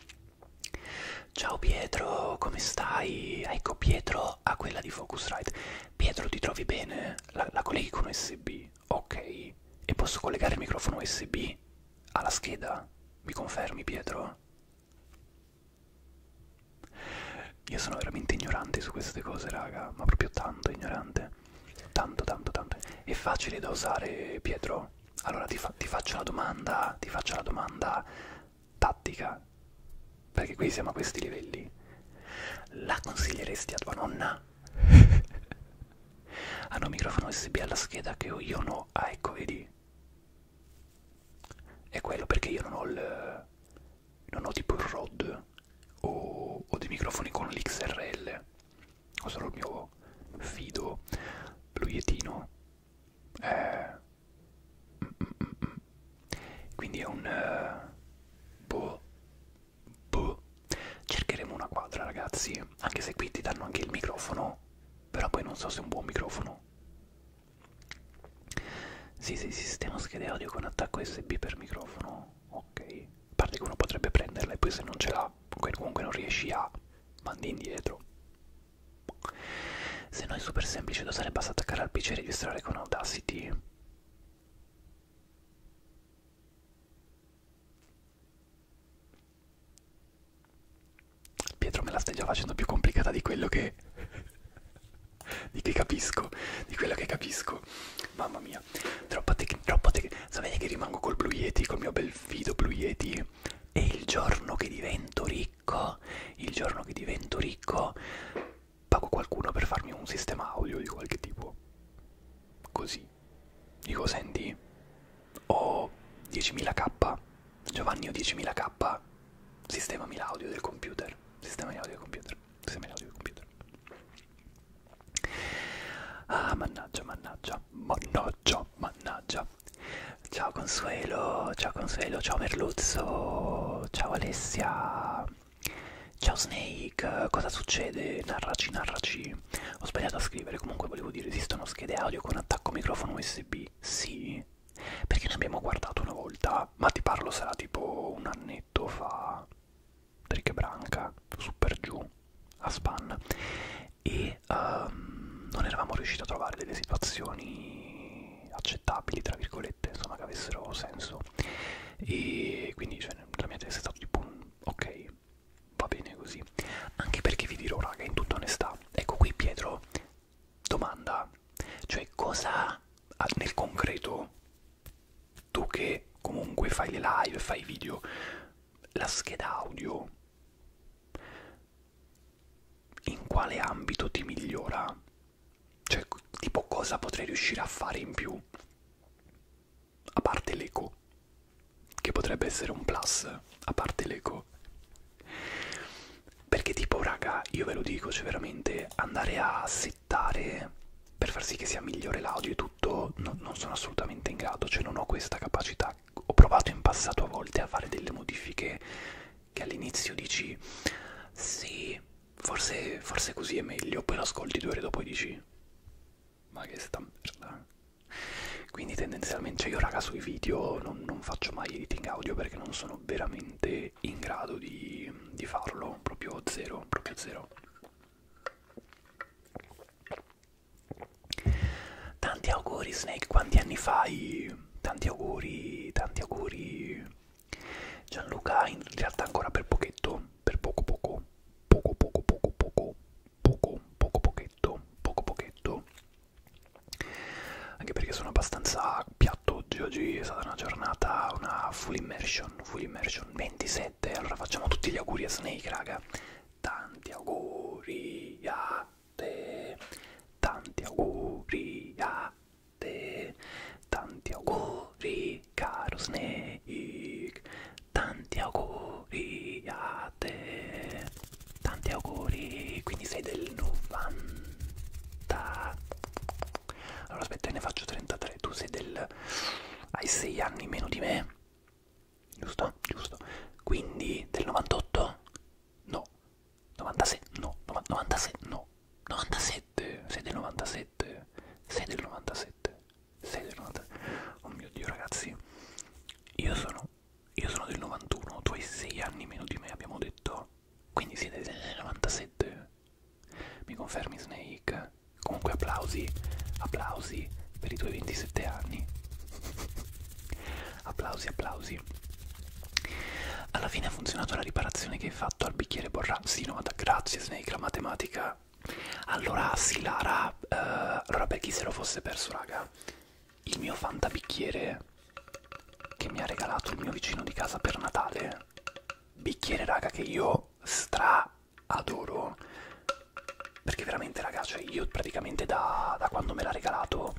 Ciao Pietro, come stai? Ecco Pietro a quella di Focusrite. Pietro ti trovi bene? La, la colleghi con USB? Ok. E posso collegare il microfono USB alla scheda? Mi confermi Pietro? Io sono veramente ignorante su queste cose, raga, ma proprio tanto ignorante. Tanto, tanto, tanto. È facile da usare, Pietro? Allora ti, fa ti faccio la domanda, ti faccio la domanda tattica, perché qui siamo a questi livelli, la consiglieresti a tua nonna? Hanno un microfono USB alla scheda che io non ho, ah ecco vedi, è quello perché io non ho il, non ho tipo il ROD o, o dei microfoni con l'XRL, ho solo il mio fido, bluietino, eh quindi è un... Uh, boh, boh. Cercheremo una quadra ragazzi, anche se qui ti danno anche il microfono, però poi non so se è un buon microfono. Sì, sì, sistema schede audio con attacco USB per microfono, ok. A parte che uno potrebbe prenderla e poi se non ce l'ha, comunque non riesci a, mandi indietro. Se no è super semplice da usare, basta attaccare al PC e registrare con Audacity. Pietro me la stai già facendo più complicata di quello che... di che capisco, di quello che capisco. Mamma mia, troppa tecnica, troppa tecnica. Sapete che rimango col Blue Yeti, col mio bel fido Blue Yeti? E il giorno che divento ricco ricco, il giorno che divento ricco pago qualcuno per farmi un sistema audio di qualche tipo. Così. Dico, senti, ho 10.000k, Giovanni ho 10.000k, sistemami l'audio del computer, sistemami l'audio del computer, sistemami l'audio del computer. Ah, mannaggia, mannaggia, mannaggia, no, mannaggia. Ciao Consuelo, ciao Consuelo, ciao Merluzzo, ciao Alessia, ciao Snake, cosa succede? Narraci, narraci. Ho sbagliato a scrivere, comunque volevo dire esistono schede audio con attacco microfono USB? Sì, perché ne abbiamo guardato una volta, ma ti parlo sarà tipo un annetto fa, Trick Branca, Super Giù, a Span, e um, non eravamo riusciti a trovare delle situazioni accettabili, tra virgolette, insomma, che avessero senso. E quindi, cioè, la mia testa è stata tipo un ok, va bene così. Anche perché vi dirò, raga, in tutta onestà, ecco qui Pietro, domanda, cioè cosa nel concreto tu che comunque fai le live, fai video, la scheda audio in quale ambito ti migliora? Cioè, tipo cosa potrei riuscire a fare in più? A parte l'eco, che potrebbe essere un plus, a parte l'eco. Perché tipo, raga, io ve lo dico, cioè veramente andare a settare per far sì che sia migliore l'audio e tutto, no, non sono assolutamente in grado, cioè non ho questa capacità. Ho provato in passato a volte a fare delle modifiche che all'inizio dici sì, forse, forse così è meglio, poi l'ascolti due ore dopo e dici ma che sta merda. Quindi tendenzialmente cioè io raga sui video non, non faccio mai editing audio perché non sono veramente in grado di, di farlo, proprio zero, proprio zero. Tanti auguri Snake, quanti anni fai? tanti auguri, tanti auguri Gianluca, in realtà ancora per pochetto, per poco poco, poco poco poco poco, poco poco pochetto, poco pochetto Anche perché sono abbastanza piatto oggi, oggi è stata una giornata, una full immersion, full immersion 27 Allora facciamo tutti gli auguri a Snake raga Tanti auguri a te, tanti auguri a te, tanti auguri caro Snake, tanti auguri a te, tanti auguri, quindi sei del 90. Allora aspetta, ne faccio 33, tu sei del... hai 6 anni meno di me? Giusto? Giusto. Quindi del 98? No. 97, no, 97, no, 97, sei del 97, sei del 97, sei del 97, oh mio Dio ragazzi, io sono, io sono del 91, tu hai 6 anni meno di me abbiamo detto, quindi siete del 97, mi confermi Snake? Comunque applausi, applausi per i tuoi 27 anni applausi applausi alla fine ha funzionato la riparazione che hai fatto al bicchiere borrà sì no ma grazie Snake la matematica allora sì Lara uh, allora per chi se lo fosse perso raga il mio fantabicchiere che mi ha regalato il mio vicino di casa per Natale bicchiere raga che io stra adoro perché veramente raga cioè io praticamente da, da quando me l'ha regalato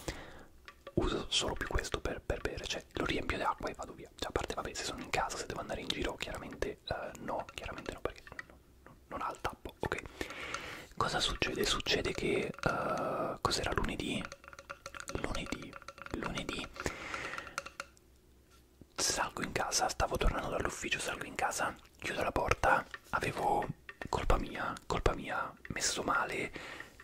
uso solo più questo per, per bere, cioè lo riempio d'acqua e vado via. Cioè, a parte, vabbè, se sono in casa, se devo andare in giro, chiaramente uh, no, chiaramente no, perché non, non, non ha il tappo, ok? Cosa succede? Succede che uh, cos'era lunedì? Lunedì, lunedì salgo in casa, stavo tornando dall'ufficio, salgo in casa, chiudo la porta, avevo colpa mia, colpa mia, messo male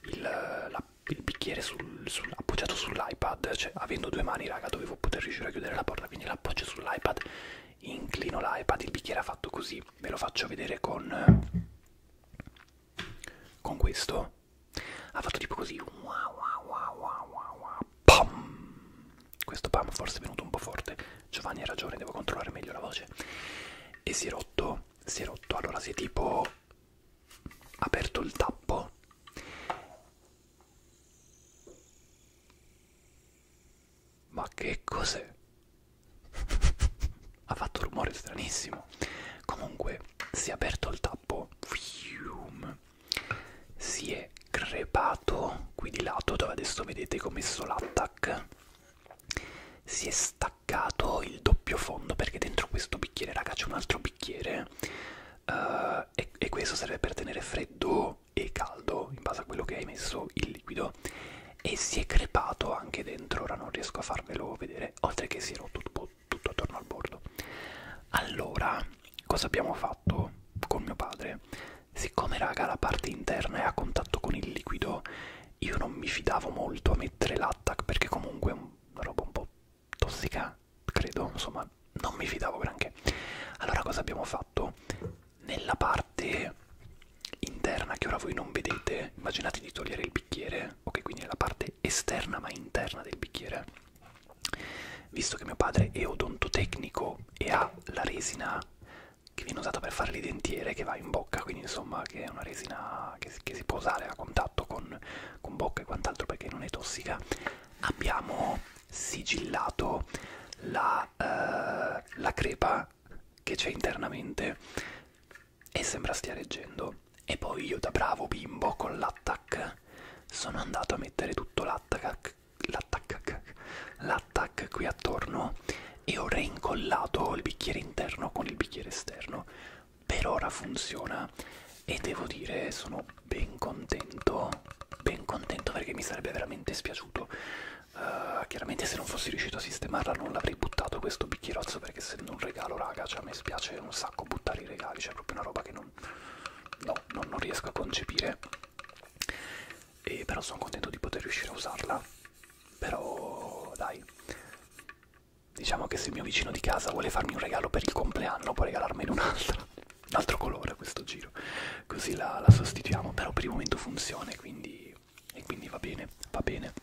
il, la il bicchiere sul, sul, appoggiato sull'iPad, cioè avendo due mani raga dovevo poter riuscire a chiudere la porta, quindi l'appoggio sull'iPad, inclino l'iPad, il bicchiere ha fatto così, ve lo faccio vedere con, con questo, ha fatto tipo così, wow wow wow wow wow wow, pam, questo pam forse è venuto un po' forte, Giovanni ha ragione, devo controllare meglio la voce, e si è rotto, si è rotto, allora si è tipo aperto il tappo ma che cos'è? ha fatto rumore stranissimo comunque si è aperto il tappo Fium. si è crepato qui di lato dove adesso vedete che ho messo l'attack si è staccato staccato il doppio fondo perché dentro questo bicchiere raga c'è un altro bicchiere uh, e, e questo serve per tenere freddo e caldo in base a quello che hai messo il liquido e si è crepato anche dentro ora non riesco a farvelo vedere oltre che si è rotto tutto, tutto attorno al bordo allora cosa abbiamo fatto con mio padre siccome raga la parte interna è a contatto con il liquido io non mi fidavo molto a mettere l'attac perché comunque è un una roba un po' tossica, credo, insomma, non mi fidavo granché. Allora cosa abbiamo fatto? Nella parte interna che ora voi non vedete, immaginate di togliere il bicchiere, ok, quindi nella parte esterna ma interna del bicchiere, visto che mio padre è odontotecnico e ha la resina che viene usata per fare le dentiere che va in bocca, quindi insomma che è una resina che che si può usare a contatto con, con bocca e quant'altro perché non è tossica abbiamo sigillato la, eh, la crepa che c'è internamente e sembra stia reggendo e poi io da bravo bimbo con l'attack sono andato a mettere tutto l'attack l'attack qui attorno e ho reincollato il bicchiere interno con il bicchiere esterno per ora funziona e devo dire sono ben contento ben contento perché mi sarebbe veramente spiaciuto uh, chiaramente se non fossi riuscito a sistemarla non l'avrei buttato questo bicchierozzo perché essendo un regalo raga cioè a me spiace un sacco buttare i regali c'è cioè, proprio una roba che non, no, non, non riesco a concepire e però sono contento di poter riuscire a usarla però dai Diciamo che se il mio vicino di casa vuole farmi un regalo per il compleanno, può regalarmene un'altra. Un altro colore a questo giro. Così la, la sostituiamo, però per il momento funziona quindi, e quindi va bene, va bene.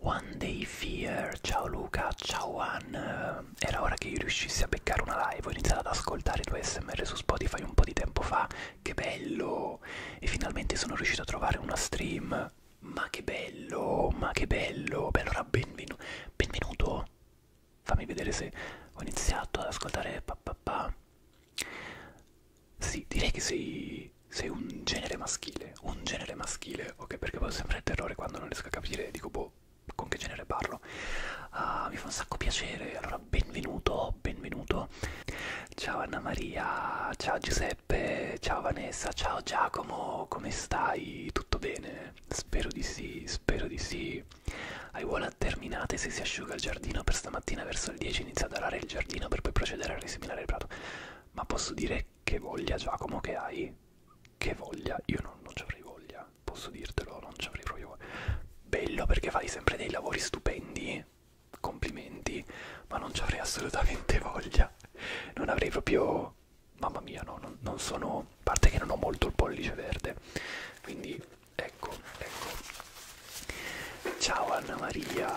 One Day Fear, ciao Luca, ciao Juan. Era ora che io riuscissi a beccare una live. Ho iniziato ad ascoltare i tuoi smr su Spotify un po' di tempo fa. Che bello! E finalmente sono riuscito a trovare una stream ma che bello, ma che bello. Beh, allora benvenu benvenuto. Fammi vedere se ho iniziato ad ascoltare papà. Pa, pa. Sì, direi che sei, sei un genere maschile. Un genere maschile, ok? Perché poi ho sempre il terrore quando non riesco a capire, dico boh, con che genere parlo. Uh, mi fa un sacco piacere. Allora, benvenuto, benvenuto. Ciao Anna Maria, ciao Giuseppe. Giuseppe, ciao Vanessa, ciao Giacomo, come stai? Tutto bene? Spero di sì, spero di sì. Aiuola terminate se si asciuga il giardino per stamattina verso le 10 inizia ad arare il giardino per poi procedere a riseminare il prato. Ma posso dire che voglia Giacomo che hai? Che voglia? Io non, non ci avrei voglia, posso dirtelo, non ci avrei proprio voglia. Bello perché fai sempre dei lavori stupendi, complimenti, ma non ci avrei assolutamente voglia non avrei proprio mamma mia no non, non sono a parte che non ho molto il pollice verde quindi ecco ecco ciao Anna Maria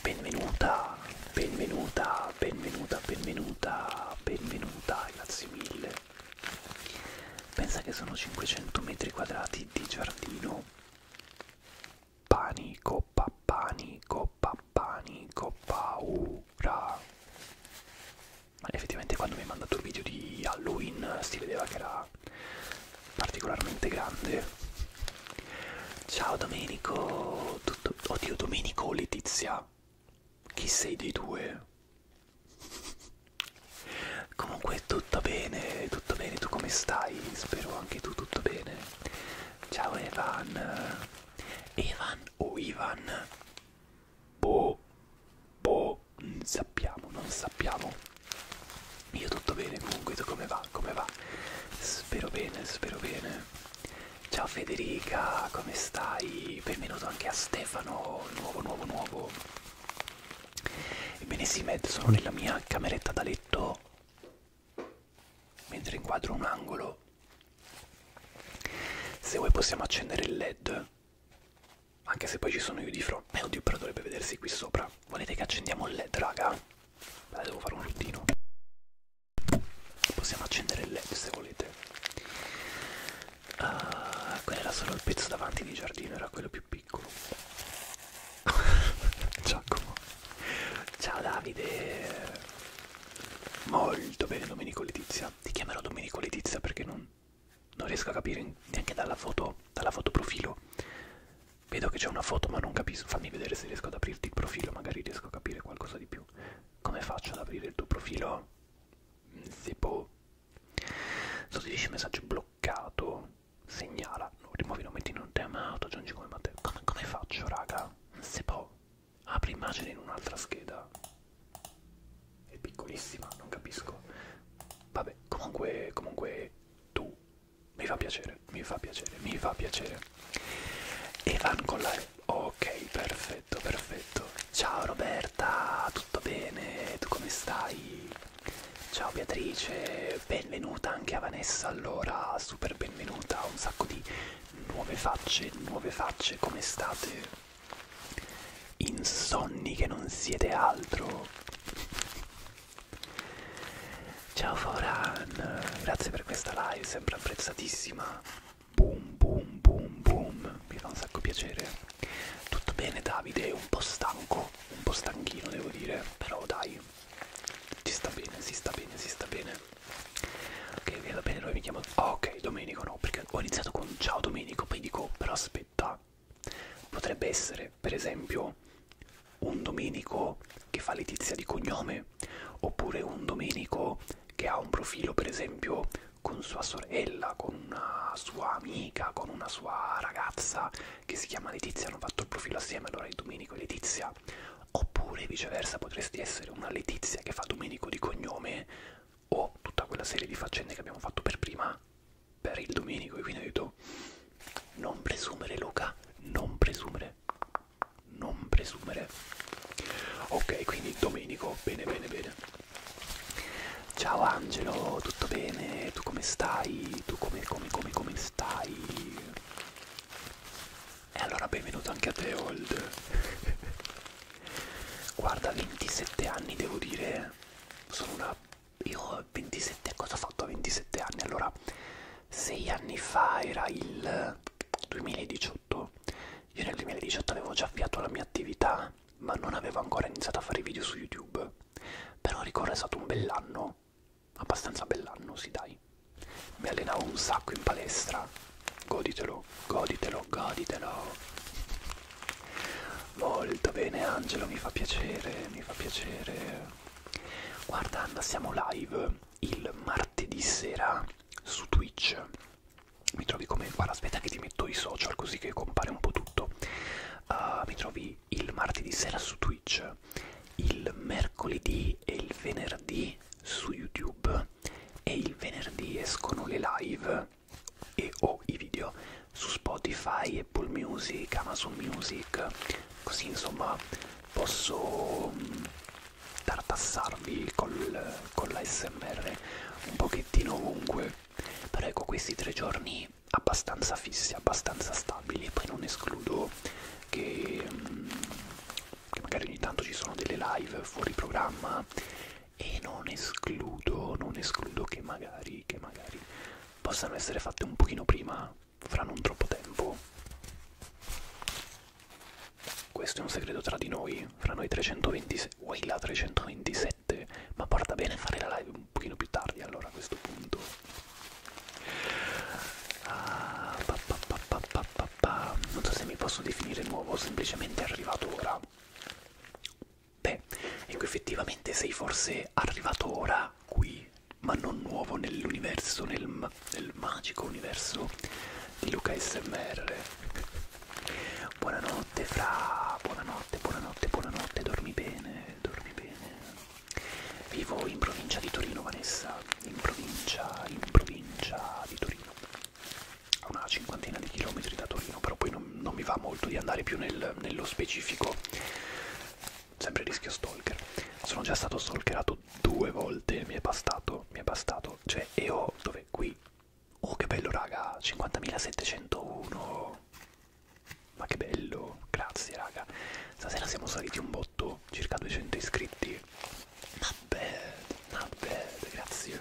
benvenuta benvenuta benvenuta benvenuta benvenuta grazie mille pensa che sono 500 metri quadrati di giardino panico, pa panico, pa panico, paura. Ma effettivamente quando mi ha mandato il video di Halloween si vedeva che era particolarmente grande. Ciao Domenico, tutto... oddio Domenico o Letizia? Chi sei dei due? Comunque tutto bene, tutto bene, tu come stai? Spero anche tu tutto bene. Ciao Evan. Evan o Ivan? Boh, boh, non sappiamo, non sappiamo. Io tutto bene comunque, tu come va? Come va? Spero bene, spero bene. Ciao Federica, come stai? Benvenuto anche a Stefano, nuovo, nuovo, nuovo. Ebbene sì, Med, sono nella mia cameretta da letto mentre inquadro un angolo se vuoi possiamo accendere il led anche se poi ci sono io di fronte eh, oddio però dovrebbe vedersi qui sopra volete che accendiamo il led raga Beh, devo fare un routino possiamo accendere il led se volete uh, ah, quello era solo il pezzo davanti di giardino era quello più piccolo Giacomo. Ciao Davide. Molto bene Domenico Letizia. Ti chiamerò Domenico Letizia perché non, non riesco a capire neanche dalla foto, dalla foto profilo. Vedo che c'è una foto ma non capisco. Fammi vedere se riesco ad aprirti il profilo, magari riesco a capire qualcosa di più. Come faccio ad aprire il tuo profilo? Tipo... Mm, Sostituisci messaggio bloccato. Segnala. Rimuovi i nomi in un tema. Auto aggiungi come Matteo. Come, come faccio, raga? se può apri immagine in un'altra scheda è piccolissima non capisco vabbè comunque comunque tu mi fa piacere mi fa piacere mi fa piacere Evan con la ok perfetto perfetto ciao Roberta tutto bene tu come stai ciao Beatrice benvenuta anche a Vanessa allora super benvenuta a un sacco di nuove facce, nuove facce, come state? Insonni che non siete altro. Ciao Foran, grazie per questa live, sempre apprezzatissima. Boom, boom, boom, boom, mi fa un sacco piacere. Tutto bene Davide, un po' stanco, un po' stanchino devo dire, però dai, si sta bene, si sta bene, si sta bene. Ok, va bene, noi mi chiamo... Oh, ok, Domenico no, perché ho iniziato con ciao Domenico, poi dico, però aspetta, potrebbe essere, per esempio, un Domenico che fa Letizia di cognome, oppure un Domenico che ha un profilo, per esempio, con sua sorella, con una sua amica, con una sua ragazza che si chiama Letizia, hanno fatto il profilo assieme, allora è Domenico e Letizia. Letizia. Oppure viceversa potresti essere una Letizia che fa Domenico di cognome o tutta quella serie di faccende che abbiamo fatto per prima per il Domenico e quindi ho detto non presumere Luca, non presumere, non presumere. Ok, quindi Domenico, bene bene bene. Ciao Angelo, tutto bene? Tu come stai? Tu come come come come stai? E allora benvenuto anche a te, Old. Guarda, 27 anni devo dire. Sono una. Io 27. Cosa ho fatto a 27 anni? Allora, 6 anni fa era il 2018. Io nel 2018 avevo già avviato la mia attività, ma non avevo ancora iniziato a fare video su YouTube. Però ricorre è stato un bell'anno abbastanza bellannosi dai mi allenavo un sacco in palestra goditelo goditelo goditelo molto bene Angelo mi fa piacere mi fa piacere guarda Anna siamo live il martedì sera su Twitch mi trovi come guarda aspetta che ti metto i social così che compare un po' tutto uh, mi trovi il martedì sera su Twitch il mercoledì e il venerdì lunedì su YouTube e il venerdì escono le live e o oh, i video su Spotify, Apple Music, Amazon Music, così insomma posso mm, tartassarvi col, con la SMR un pochettino ovunque, però ecco questi tre giorni abbastanza fissi, abbastanza stabili, poi non escludo che mm, che magari ogni tanto ci sono delle live fuori programma e non escludo, non escludo che magari, che magari possano essere fatte un pochino prima, fra non troppo tempo. Questo è un segreto tra di noi, fra noi 327, uai la 327, ma porta bene fare la live un pochino più tardi allora a questo punto. Ah, pa, pa, pa, pa, pa, pa, non so se mi posso definire nuovo, semplicemente arrivato ora. Beh, ecco effettivamente sei forse arrivato ora qui, ma non nuovo nell'universo, nel, nel magico universo di Luca SMR. Buonanotte fra, buonanotte, buonanotte, buonanotte, dormi bene, dormi bene. Vivo in provincia di Torino, Vanessa in provincia, in provincia di Torino, a una cinquantina di chilometri da Torino, però poi non, non mi va molto di andare più nel, nello specifico, sempre rischio stalker. Sono già stato stalkerato due volte, mi è bastato, mi è bastato, cioè, e ho, dove, qui, oh che bello raga, 50.701, ma che bello, grazie raga, stasera siamo saliti un botto, circa 200 iscritti Not bad, not bad, grazie.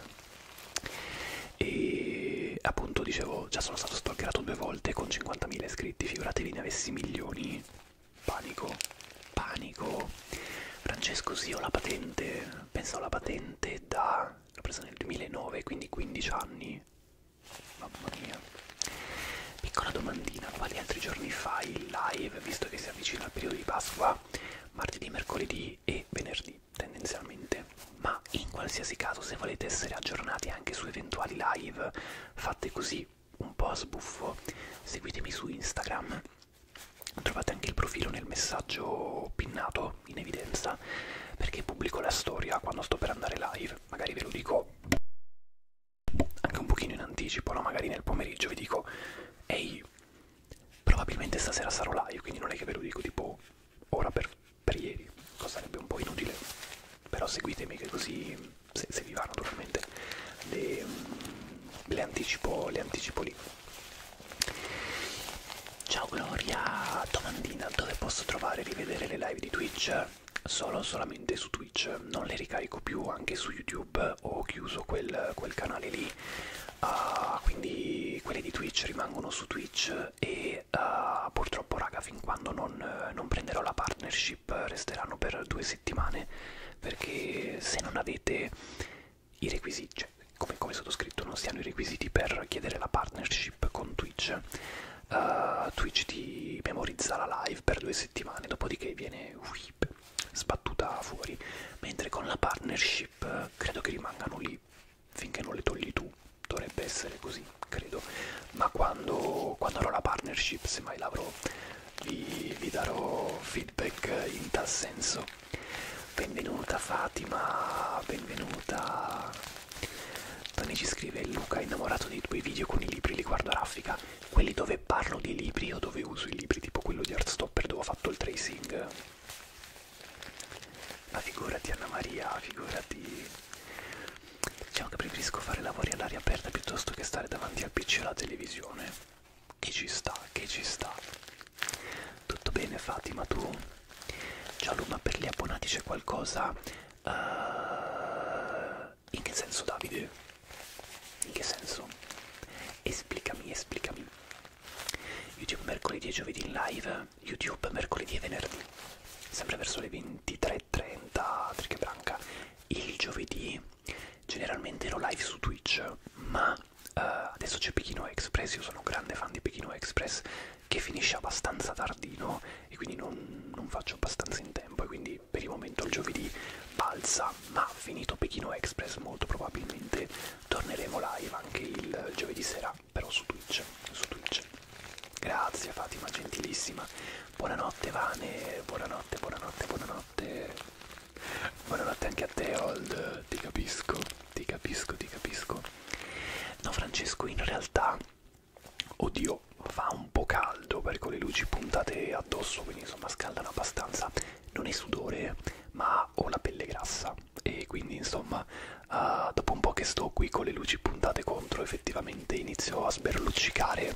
E appunto dicevo, già sono stato stalkerato due volte con 50.000 iscritti, figuratevi ne avessi milioni. Panico, panico. Francesco sì, ho la patente, penso alla patente da... l'ho presa nel 2009, quindi 15 anni. Mamma mia. Piccola domandina, quali altri giorni fai live, visto che siamo avvicina il periodo di Pasqua, martedì, mercoledì e venerdì tendenzialmente, ma in qualsiasi caso se volete essere aggiornati anche su eventuali live fatte così un po' a sbuffo, seguitemi su Instagram, trovate anche il profilo nel messaggio pinnato in evidenza, perché pubblico la storia quando sto per andare live, magari ve lo dico anche un pochino in anticipo, no? magari nel pomeriggio vi dico ehi, probabilmente stasera sarò live, quindi non è che ve lo dico tipo ora per, per ieri, cosa sarebbe un po' inutile, però seguitemi che così, se, se vi va naturalmente, le, le, anticipo, le anticipo lì. Ciao Gloria, domandina, dove posso trovare e rivedere le live di Twitch? Solo solamente su Twitch, non le ricarico più anche su YouTube eh, ho chiuso quel, quel canale lì uh, quindi quelli di Twitch rimangono su Twitch e uh, purtroppo raga fin quando non, non prenderò la partnership resteranno per due settimane perché se non avete i requisiti cioè, come, come sottoscritto non si hanno i requisiti per chiedere la partnership con Twitch uh, Twitch ti memorizza la live per due settimane dopodiché viene whip sbattuta fuori, mentre con la partnership eh, credo che rimangano lì finché non le togli tu, dovrebbe essere così, credo, ma quando, quando avrò la partnership, se mai l'avrò, vi, vi darò feedback in tal senso. Benvenuta Fatima, benvenuta. Tony ci scrive Luca, innamorato dei tuoi video con i libri, li guardo a raffica quelli dove parlo di libri o dove uso i libri, tipo quello di Artstopper dove ho fatto il tracing. Ma figurati Anna Maria, figurati. Diciamo che preferisco fare lavori all'aria aperta piuttosto che stare davanti al PC o alla televisione. Che ci sta, che ci sta. Tutto bene Fatima, tu? Giallo, ma per gli abbonati c'è qualcosa? Uh... In che senso Davide? In che senso? Esplicami, esplicami. YouTube mercoledì e giovedì in live, YouTube mercoledì e venerdì, sempre verso le 23.30, triche branca. Il giovedì generalmente ero live su Twitch, ma uh, adesso c'è Pechino Express, io sono un grande fan di Pechino Express che finisce abbastanza tardino e quindi non, non faccio abbastanza in tempo e quindi quindi per il momento il giovedì balza, ma finito Pechino Express molto probabilmente torneremo live anche il giovedì sera, però su Twitch, su Twitch. Grazie Fatima, gentilissima. Buonanotte Vane, buonanotte, buonanotte, buonanotte. Buonanotte anche a te Old, ti capisco, ti capisco, ti capisco. No Francesco, in realtà, oddio, fa un po' caldo perché ho le luci puntate addosso, quindi insomma scaldano abbastanza non è sudore ma ho la pelle grassa e quindi insomma uh, dopo un po' che sto qui con le luci puntate contro effettivamente inizio a sberluccicare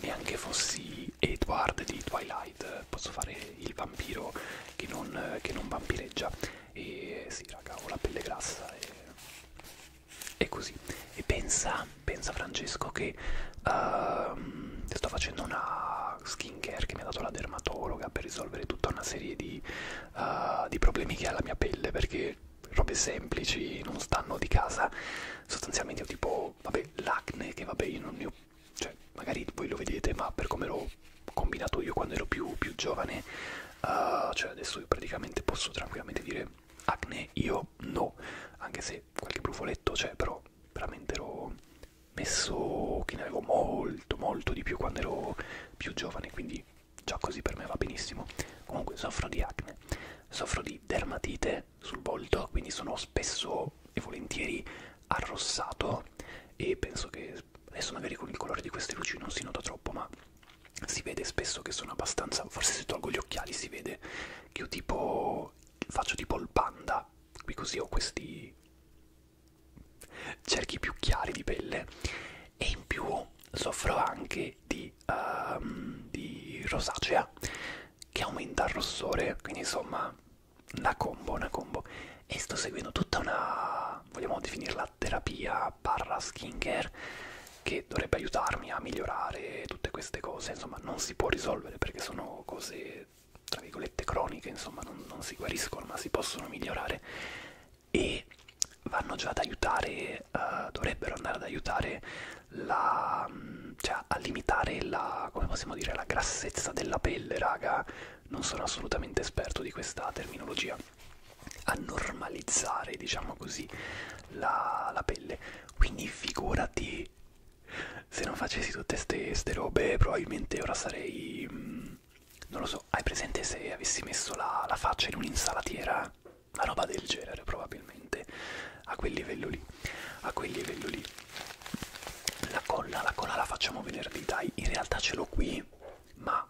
neanche fossi Edward di Twilight posso fare il vampiro che non, che non vampireggia e sì raga ho la pelle grassa e, e così e pensa, pensa Francesco che che uh, sto facendo una skincare che mi ha dato la dermatologa per risolvere tutta una serie di, uh, di problemi che ha la mia pelle perché robe semplici non stanno di casa sostanzialmente ho tipo vabbè l'acne che vabbè io non ne ho cioè magari voi lo vedete ma per come l'ho combinato io quando ero più, più giovane uh, cioè adesso io praticamente posso tranquillamente dire acne io no anche se qualche brufoletto c'è però veramente ero messo che ne avevo molto molto di più quando ero più giovane quindi già così per me va benissimo comunque soffro di acne soffro di dermatite sul volto quindi sono spesso e volentieri arrossato e penso che adesso magari con il colore di queste luci non si nota troppo ma si vede spesso che sono abbastanza forse se tolgo gli occhiali si vede che io tipo faccio tipo il panda qui così ho questi cerchi più chiari di pelle e in più soffro anche di, um, di rosacea che aumenta il rossore quindi insomma una combo una combo e sto seguendo tutta una vogliamo definirla terapia barra skincare che dovrebbe aiutarmi a migliorare tutte queste cose insomma non si può risolvere perché sono cose tra virgolette croniche, insomma non, non si guariscono ma si possono migliorare e vanno già ad aiutare, uh, dovrebbero andare ad aiutare la, cioè a limitare la, come possiamo dire, la grassezza della pelle, raga, non sono assolutamente esperto di questa terminologia, a normalizzare, diciamo così, la, la pelle, quindi figurati se non facessi tutte queste robe probabilmente ora sarei mh, mm, non lo so hai presente se avessi messo la, la faccia in un'insalatiera una roba del genere probabilmente a quel livello lì a quel livello lì la colla la colla la facciamo venerdì dai in realtà ce l'ho qui ma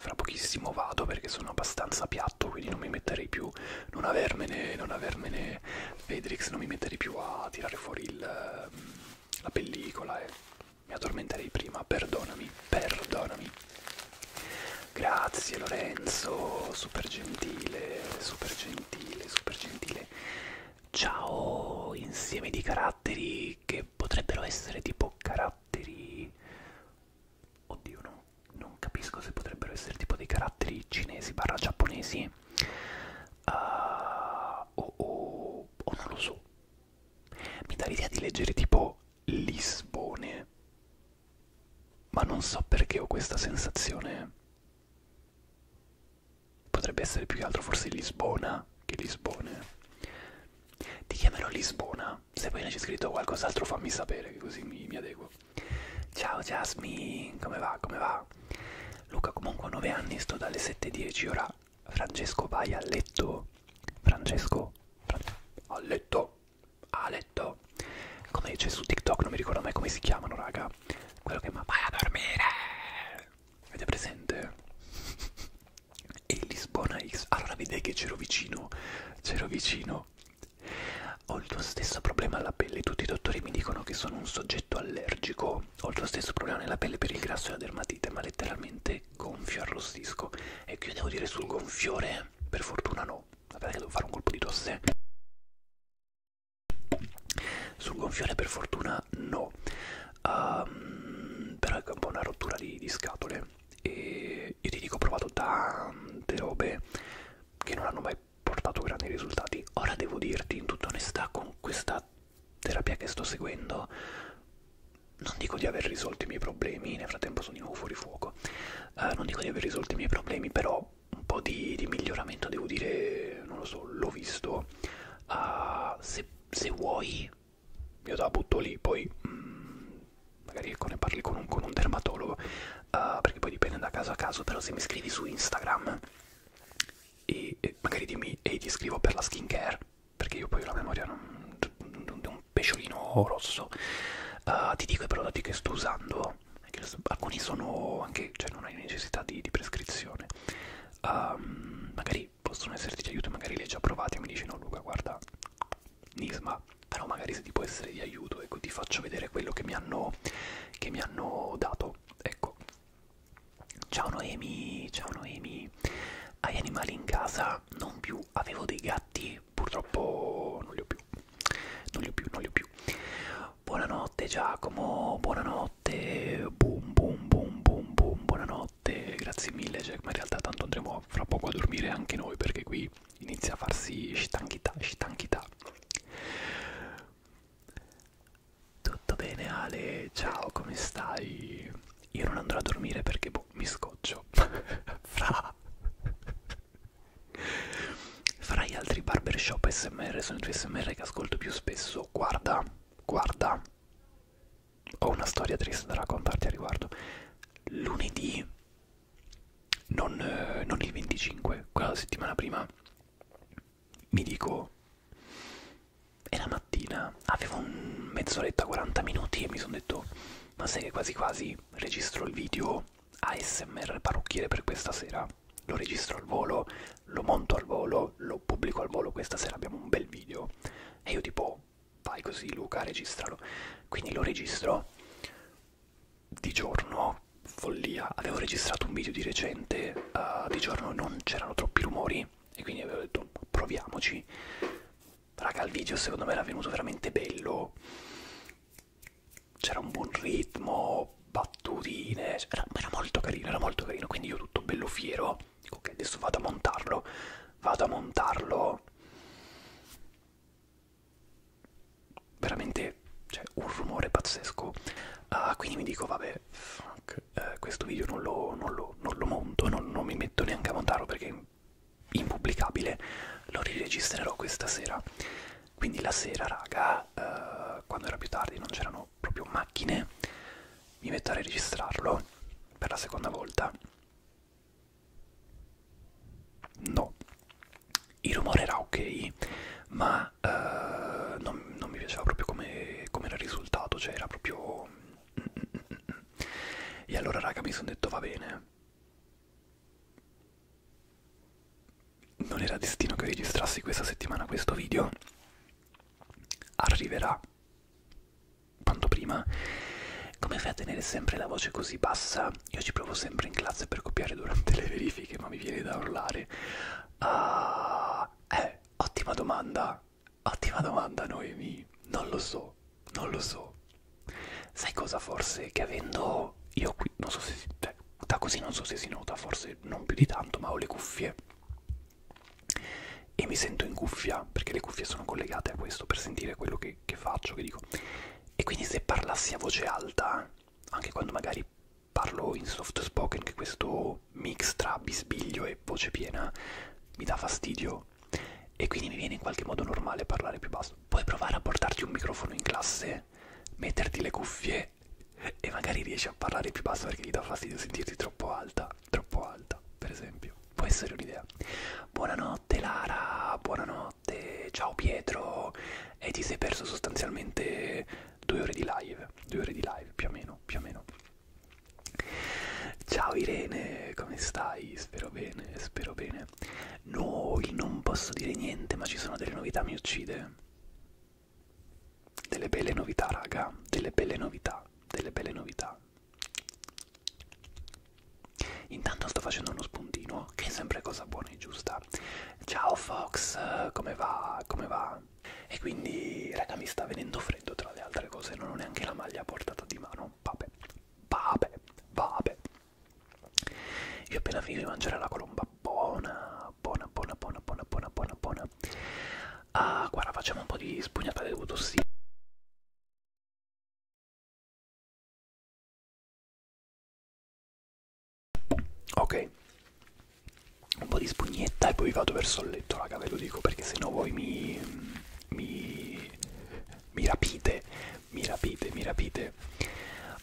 fra pochissimo vado perché sono abbastanza piatto quindi non mi metterei più non avermene non avermene Fedrix non mi metterei più a tirare fuori il ehm, la pellicola e mi addormenterei prima, perdonami, perdonami. Grazie Lorenzo, super gentile, super gentile, super gentile. Ciao, insieme di caratteri che potrebbero essere tipo caratteri... Oddio, no, non capisco se potrebbero essere tipo dei caratteri cinesi barra giapponesi anni uh, o, o, o non lo so mi dà l'idea di leggere tipo Lisbone ma non so perché ho questa sensazione potrebbe essere più che altro forse Lisbona che Lisbone ti chiamerò Lisbona se poi ne c'è scritto qualcos'altro fammi sapere che così mi, mi adeguo ciao Jasmine come va come va Luca comunque ha 9 anni, sto dalle 7.10, ora Francesco vai a letto. Francesco, Fra a letto, a letto. Come dice su TikTok, non mi ricordo mai come si chiamano, raga. Quello che ma vai a dormire. Avete presente? E Lisbona X. Allora vedete che c'ero vicino, c'ero vicino. Ho il tuo stesso problema alla pelle, tutti i dottori mi dicono che sono un soggetto allergico secco. Ho lo stesso problema nella pelle per il grasso e la dermatite, ma letteralmente gonfio, arrostisco. E qui devo dire sul gonfiore, per fortuna no. Vabbè che devo fare un colpo di tosse. Sul gonfiore per fortuna no. Um, però è un po' una rottura di, di scatole. E io ti dico, ho provato tante robe che non hanno mai portato grandi risultati. Ora devo dirti in tutta onestà con questa terapia che sto seguendo non dico di aver risolto i miei problemi, nel frattempo sono di nuovo fuori fuoco, uh, non dico di aver risolto i miei problemi, però un po' di, di miglioramento devo dire, non lo so, l'ho visto. Uh, se, se vuoi, io te la butto lì, poi mm, magari ecco, ne parli con un, con un dermatologo, uh, perché poi dipende da caso a caso, però se mi scrivi su Instagram e, e magari dimmi e ti scrivo per la skincare perché io poi ho la memoria non, non, non, un pesciolino rosso uh, ti dico i prodotti che sto usando che alcuni sono anche cioè non hai necessità di, di prescrizione um, magari possono esserti di aiuto magari li hai già provati e mi dici no Luca guarda Nisma però magari se ti può essere di aiuto ecco ti faccio vedere quello che mi hanno che mi hanno dato ecco Ciao Noemi, ciao Noemi. Hai animali in casa? Non più, avevo dei gatti, purtroppo non li ho più. Non li ho più, non li ho più. Buonanotte Giacomo, buonanotte. Boom boom boom boom boom, buonanotte. Grazie mille Jack, ma in realtà tanto andremo fra poco a dormire anche noi perché qui inizia a farsi stanchità, stanchità. Tutto bene Ale, ciao, come stai? Io non andrò a dormire perché boh, mi scoccio. Fra. Fra gli altri barbershop smr sono i tuoi smr che ascolto più spesso. Guarda, guarda. Ho una storia triste da raccontarti a riguardo. Lunedì, non, eh, non il 25, quella settimana prima, mi dico e la mattina avevo mezz'oretta, 40 minuti e mi sono detto, ma sai che quasi quasi registro il video ASMR parrucchiere per questa sera. Lo registro al volo, lo monto al volo, lo pubblico al volo, questa sera abbiamo un bel video. E io tipo, vai così Luca, registralo. Quindi lo registro di giorno, follia, avevo registrato un video di recente sicuramente uh, eh, di giorno non c'erano troppi rumori e quindi avevo detto proviamoci raga il video secondo me era venuto veramente bello c'era un buon ritmo battutine era, era molto carino era molto carino quindi io tutto bello fiero dico ok adesso vado a montarlo vado a montarlo veramente c'è cioè, un rumore pazzesco uh, quindi mi dico vabbè fuck, eh, questo video non lo, non lo, non lo monto, non, non mi metto neanche a montarlo perché è impubblicabile, lo riregistrerò questa sera. Quindi la sera, raga, eh, quando era più tardi non c'erano proprio macchine, mi metto a registrarlo per la seconda volta. No, il rumore era ok, ma uh, non, non mi piaceva proprio come, come era il risultato, cioè era proprio... E allora raga mi sono detto va bene. Non era destino che registrassi questa settimana questo video. Arriverà quanto prima. Come fai a tenere sempre la voce così bassa? Io ci provo sempre in classe per copiare durante le verifiche, ma mi viene da urlare. Ah, eh, eh, ottima domanda. Ottima domanda, Noemi. Non lo so, non lo so. Sai cosa forse? Che avendo io qui, non so se si, cioè, da così non so se si nota, forse non più di tanto, ma ho le cuffie e mi sento in cuffia, perché le cuffie sono collegate a questo per sentire quello che, che faccio, che dico. E quindi se parlassi a voce alta, anche quando magari parlo in soft spoken che questo mix tra bisbiglio e voce piena mi dà fastidio e quindi mi viene in qualche modo normale parlare più basso. Puoi provare a portarti un microfono in classe, metterti le cuffie e magari riesci a parlare più basso perché ti dà fastidio sentirti troppo alta, troppo alta, per esempio. Può essere un'idea. Buonanotte Lara, buonanotte, ciao Pietro. E eh, ti sei perso sostanzialmente due ore di live, due ore di live più o meno, più o meno. Ciao Irene, come stai? Spero bene, spero bene. No, il non posso dire niente, ma ci sono delle novità, mi uccide. Delle belle novità, raga, delle belle novità, delle belle novità. Intanto sto facendo uno spuntino, che è sempre cosa buona e giusta. Ciao Fox, come va? Come va? E quindi, raga, mi sta venendo freddo tra le altre cose, non ho neanche la maglia a portata di mano. Vabbè, vabbè, vabbè. Io ho appena finito di mangiare la colomba buona, buona, buona, buona, buona, buona, buona, buona. Ah, guarda, facciamo un po' di spugnata di autossia. Ok, un po' di spugnetta e poi vado verso il letto, raga, ve lo dico perché se no voi mi, mi, mi rapite, mi rapite, mi rapite.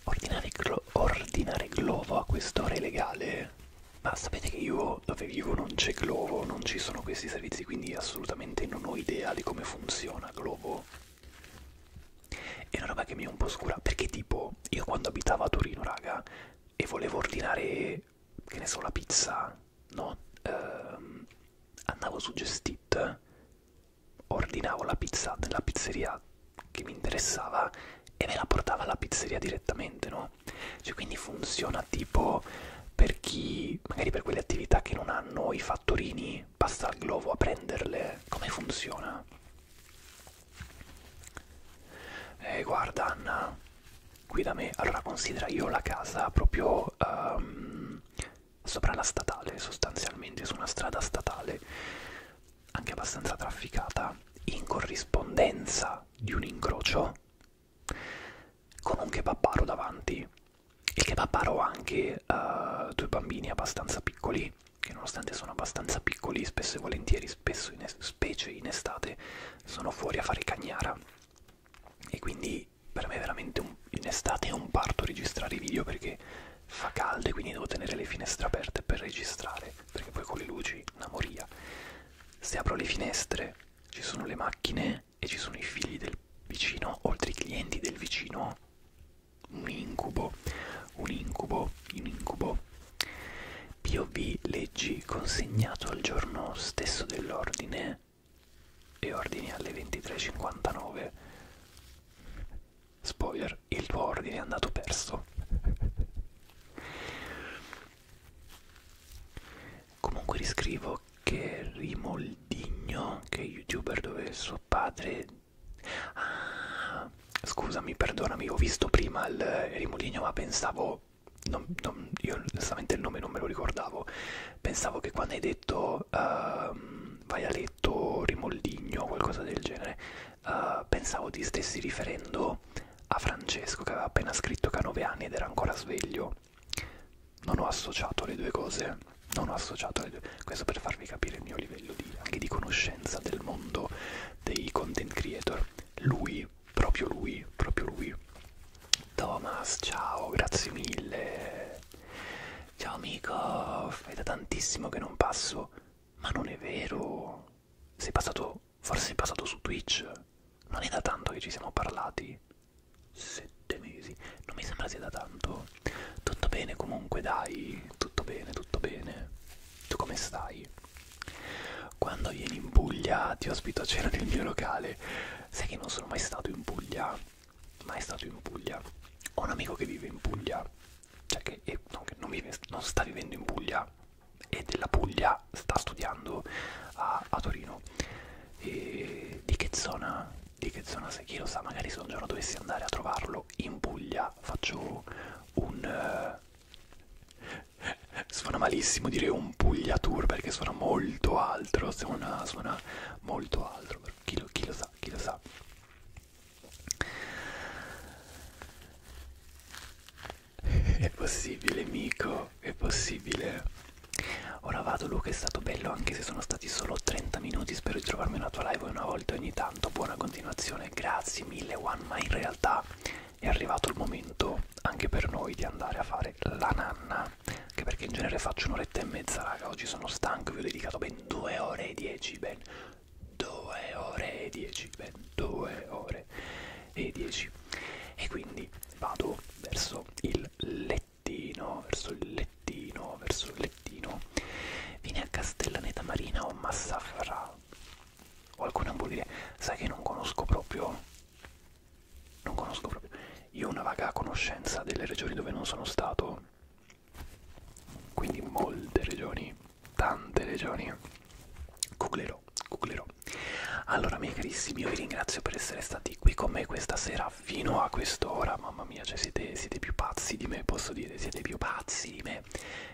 Ordinare, glo ordinare globo a quest'ora è legale? Ma sapete che io dove vivo non c'è globo, non ci sono questi servizi, quindi assolutamente non ho idea di come funziona globo. È una roba che mi è un po' scura, perché tipo io quando abitavo a Torino, raga, e volevo ordinare che ne so, la pizza, no? Ehm, andavo su Gestit, ordinavo la pizza nella pizzeria che mi interessava e me la portava alla pizzeria direttamente, no? Cioè, quindi funziona tipo per chi, magari per quelle attività che non hanno i fattorini, basta al globo a prenderle. Come funziona? Eh, guarda Anna, qui da me allora considera io la casa proprio um, sopra la statale sostanzialmente su una strada statale anche abbastanza trafficata in corrispondenza di un incrocio con un kebabaro davanti il kebabaro ha anche uh, due bambini abbastanza piccoli che nonostante sono abbastanza piccoli spesso e volentieri alberi, spesso in specie in estate, sono fuori a fare cagnara. E quindi per me è veramente un, in estate è un parto registrare i video perché fa caldo e quindi devo tenere le finestre aperte per registrare, perché poi con le luci una moria. Se apro le finestre ci sono le macchine e ci sono i figli del vicino, oltre ai clienti del vicino. Un incubo, un incubo, un incubo. POV leggi consegnato al giorno stesso dell'ordine e ordini alle 23.59 spoiler il tuo ordine è andato perso comunque riscrivo che Rimoldigno che è youtuber dove suo padre ah, scusami perdonami ho visto prima il Rimoldigno ma pensavo non, non, io onestamente il nome non me lo ricordavo, pensavo che quando hai detto uh, vai a letto rimoldigno o qualcosa del genere, uh, pensavo ti stessi riferendo a Francesco che aveva appena scritto che ha 9 anni ed era ancora sveglio. Non ho associato le due cose, non ho associato le due, questo per farvi capire il mio livello di, anche di conoscenza del mondo dei content creator. Lui proprio lui, proprio lui. Thomas, ciao, grazie mille. Ciao amico, è da tantissimo che non passo. Ma non è vero. Sei passato, forse sei passato su Twitch. Non è da tanto che ci siamo parlati. Sette mesi. Non mi sembra sia da tanto. Tutto bene comunque, dai. Tutto bene, tutto bene. Tu come stai? Quando vieni in Puglia ti ospito a cena nel mio locale. Sai che non sono mai stato in Puglia? Mai stato in Puglia. Ho un amico che vive in Puglia. Cioè che, è, no, che non, vive, non sta vivendo in Puglia. E della Puglia sta studiando a, a Torino. E di che zona? Di che zona sei? Chi lo sa? Magari se un giorno dovessi andare a trovarlo in Puglia faccio un... Uh, suona malissimo dire un pugliatur perché suona molto altro, suona, suona molto altro, chi lo, chi lo sa, chi lo sa. È possibile, amico, è possibile. Ora vado, Luca, è stato bello anche se sono stati solo 30 minuti, spero di trovarmi una tua live una volta ogni tanto, buona continuazione, grazie mille One, ma in realtà è arrivato il momento anche per noi di andare a fare la nanna anche perché in genere faccio un'oretta e mezza raga oggi sono stanco vi ho dedicato ben 2 ore e 10 ben 2 ore e 10 ben 2 ore e 10 e quindi vado verso il lettino verso il lettino verso il lettino vieni a Castellaneta Marina o Massafra o alcune hamburgerie sai che non conosco proprio non conosco proprio. Io ho una vaga conoscenza delle regioni dove non sono stato, quindi molte regioni, tante regioni. Googlerò, googlerò. Allora, miei carissimi, io vi ringrazio per essere stati qui con me questa sera fino a quest'ora. Mamma mia, cioè siete, siete più pazzi di me, posso dire, siete più pazzi di me.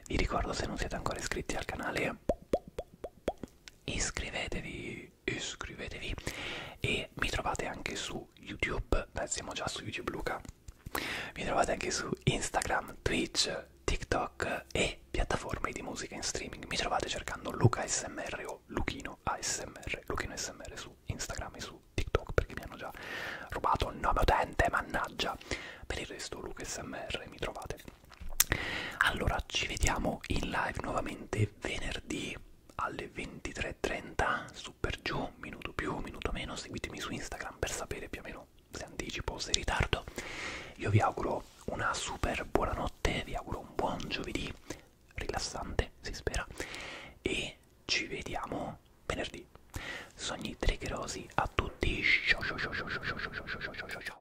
Vi ricordo se non siete ancora iscritti al canale iscrivetevi iscrivetevi e mi trovate anche su youtube Beh, siamo già su youtube Luca mi trovate anche su instagram twitch tiktok e piattaforme di musica in streaming mi trovate cercando Luca smr o Luchino ASMR Luchino smr su instagram e su tiktok perché mi hanno già rubato il nome utente mannaggia per il resto Luca smr mi trovate allora ci vediamo in live nuovamente venerdì alle 23.30 su per giù minuto più minuto meno seguitemi su instagram per sapere più o meno se anticipo o se ritardo io vi auguro una super buonanotte vi auguro un buon giovedì rilassante si spera e ci vediamo venerdì sogni triggerosi a tutti ciao ciao ciao ciao ciao ciao ciao ciao ciao ciao ciao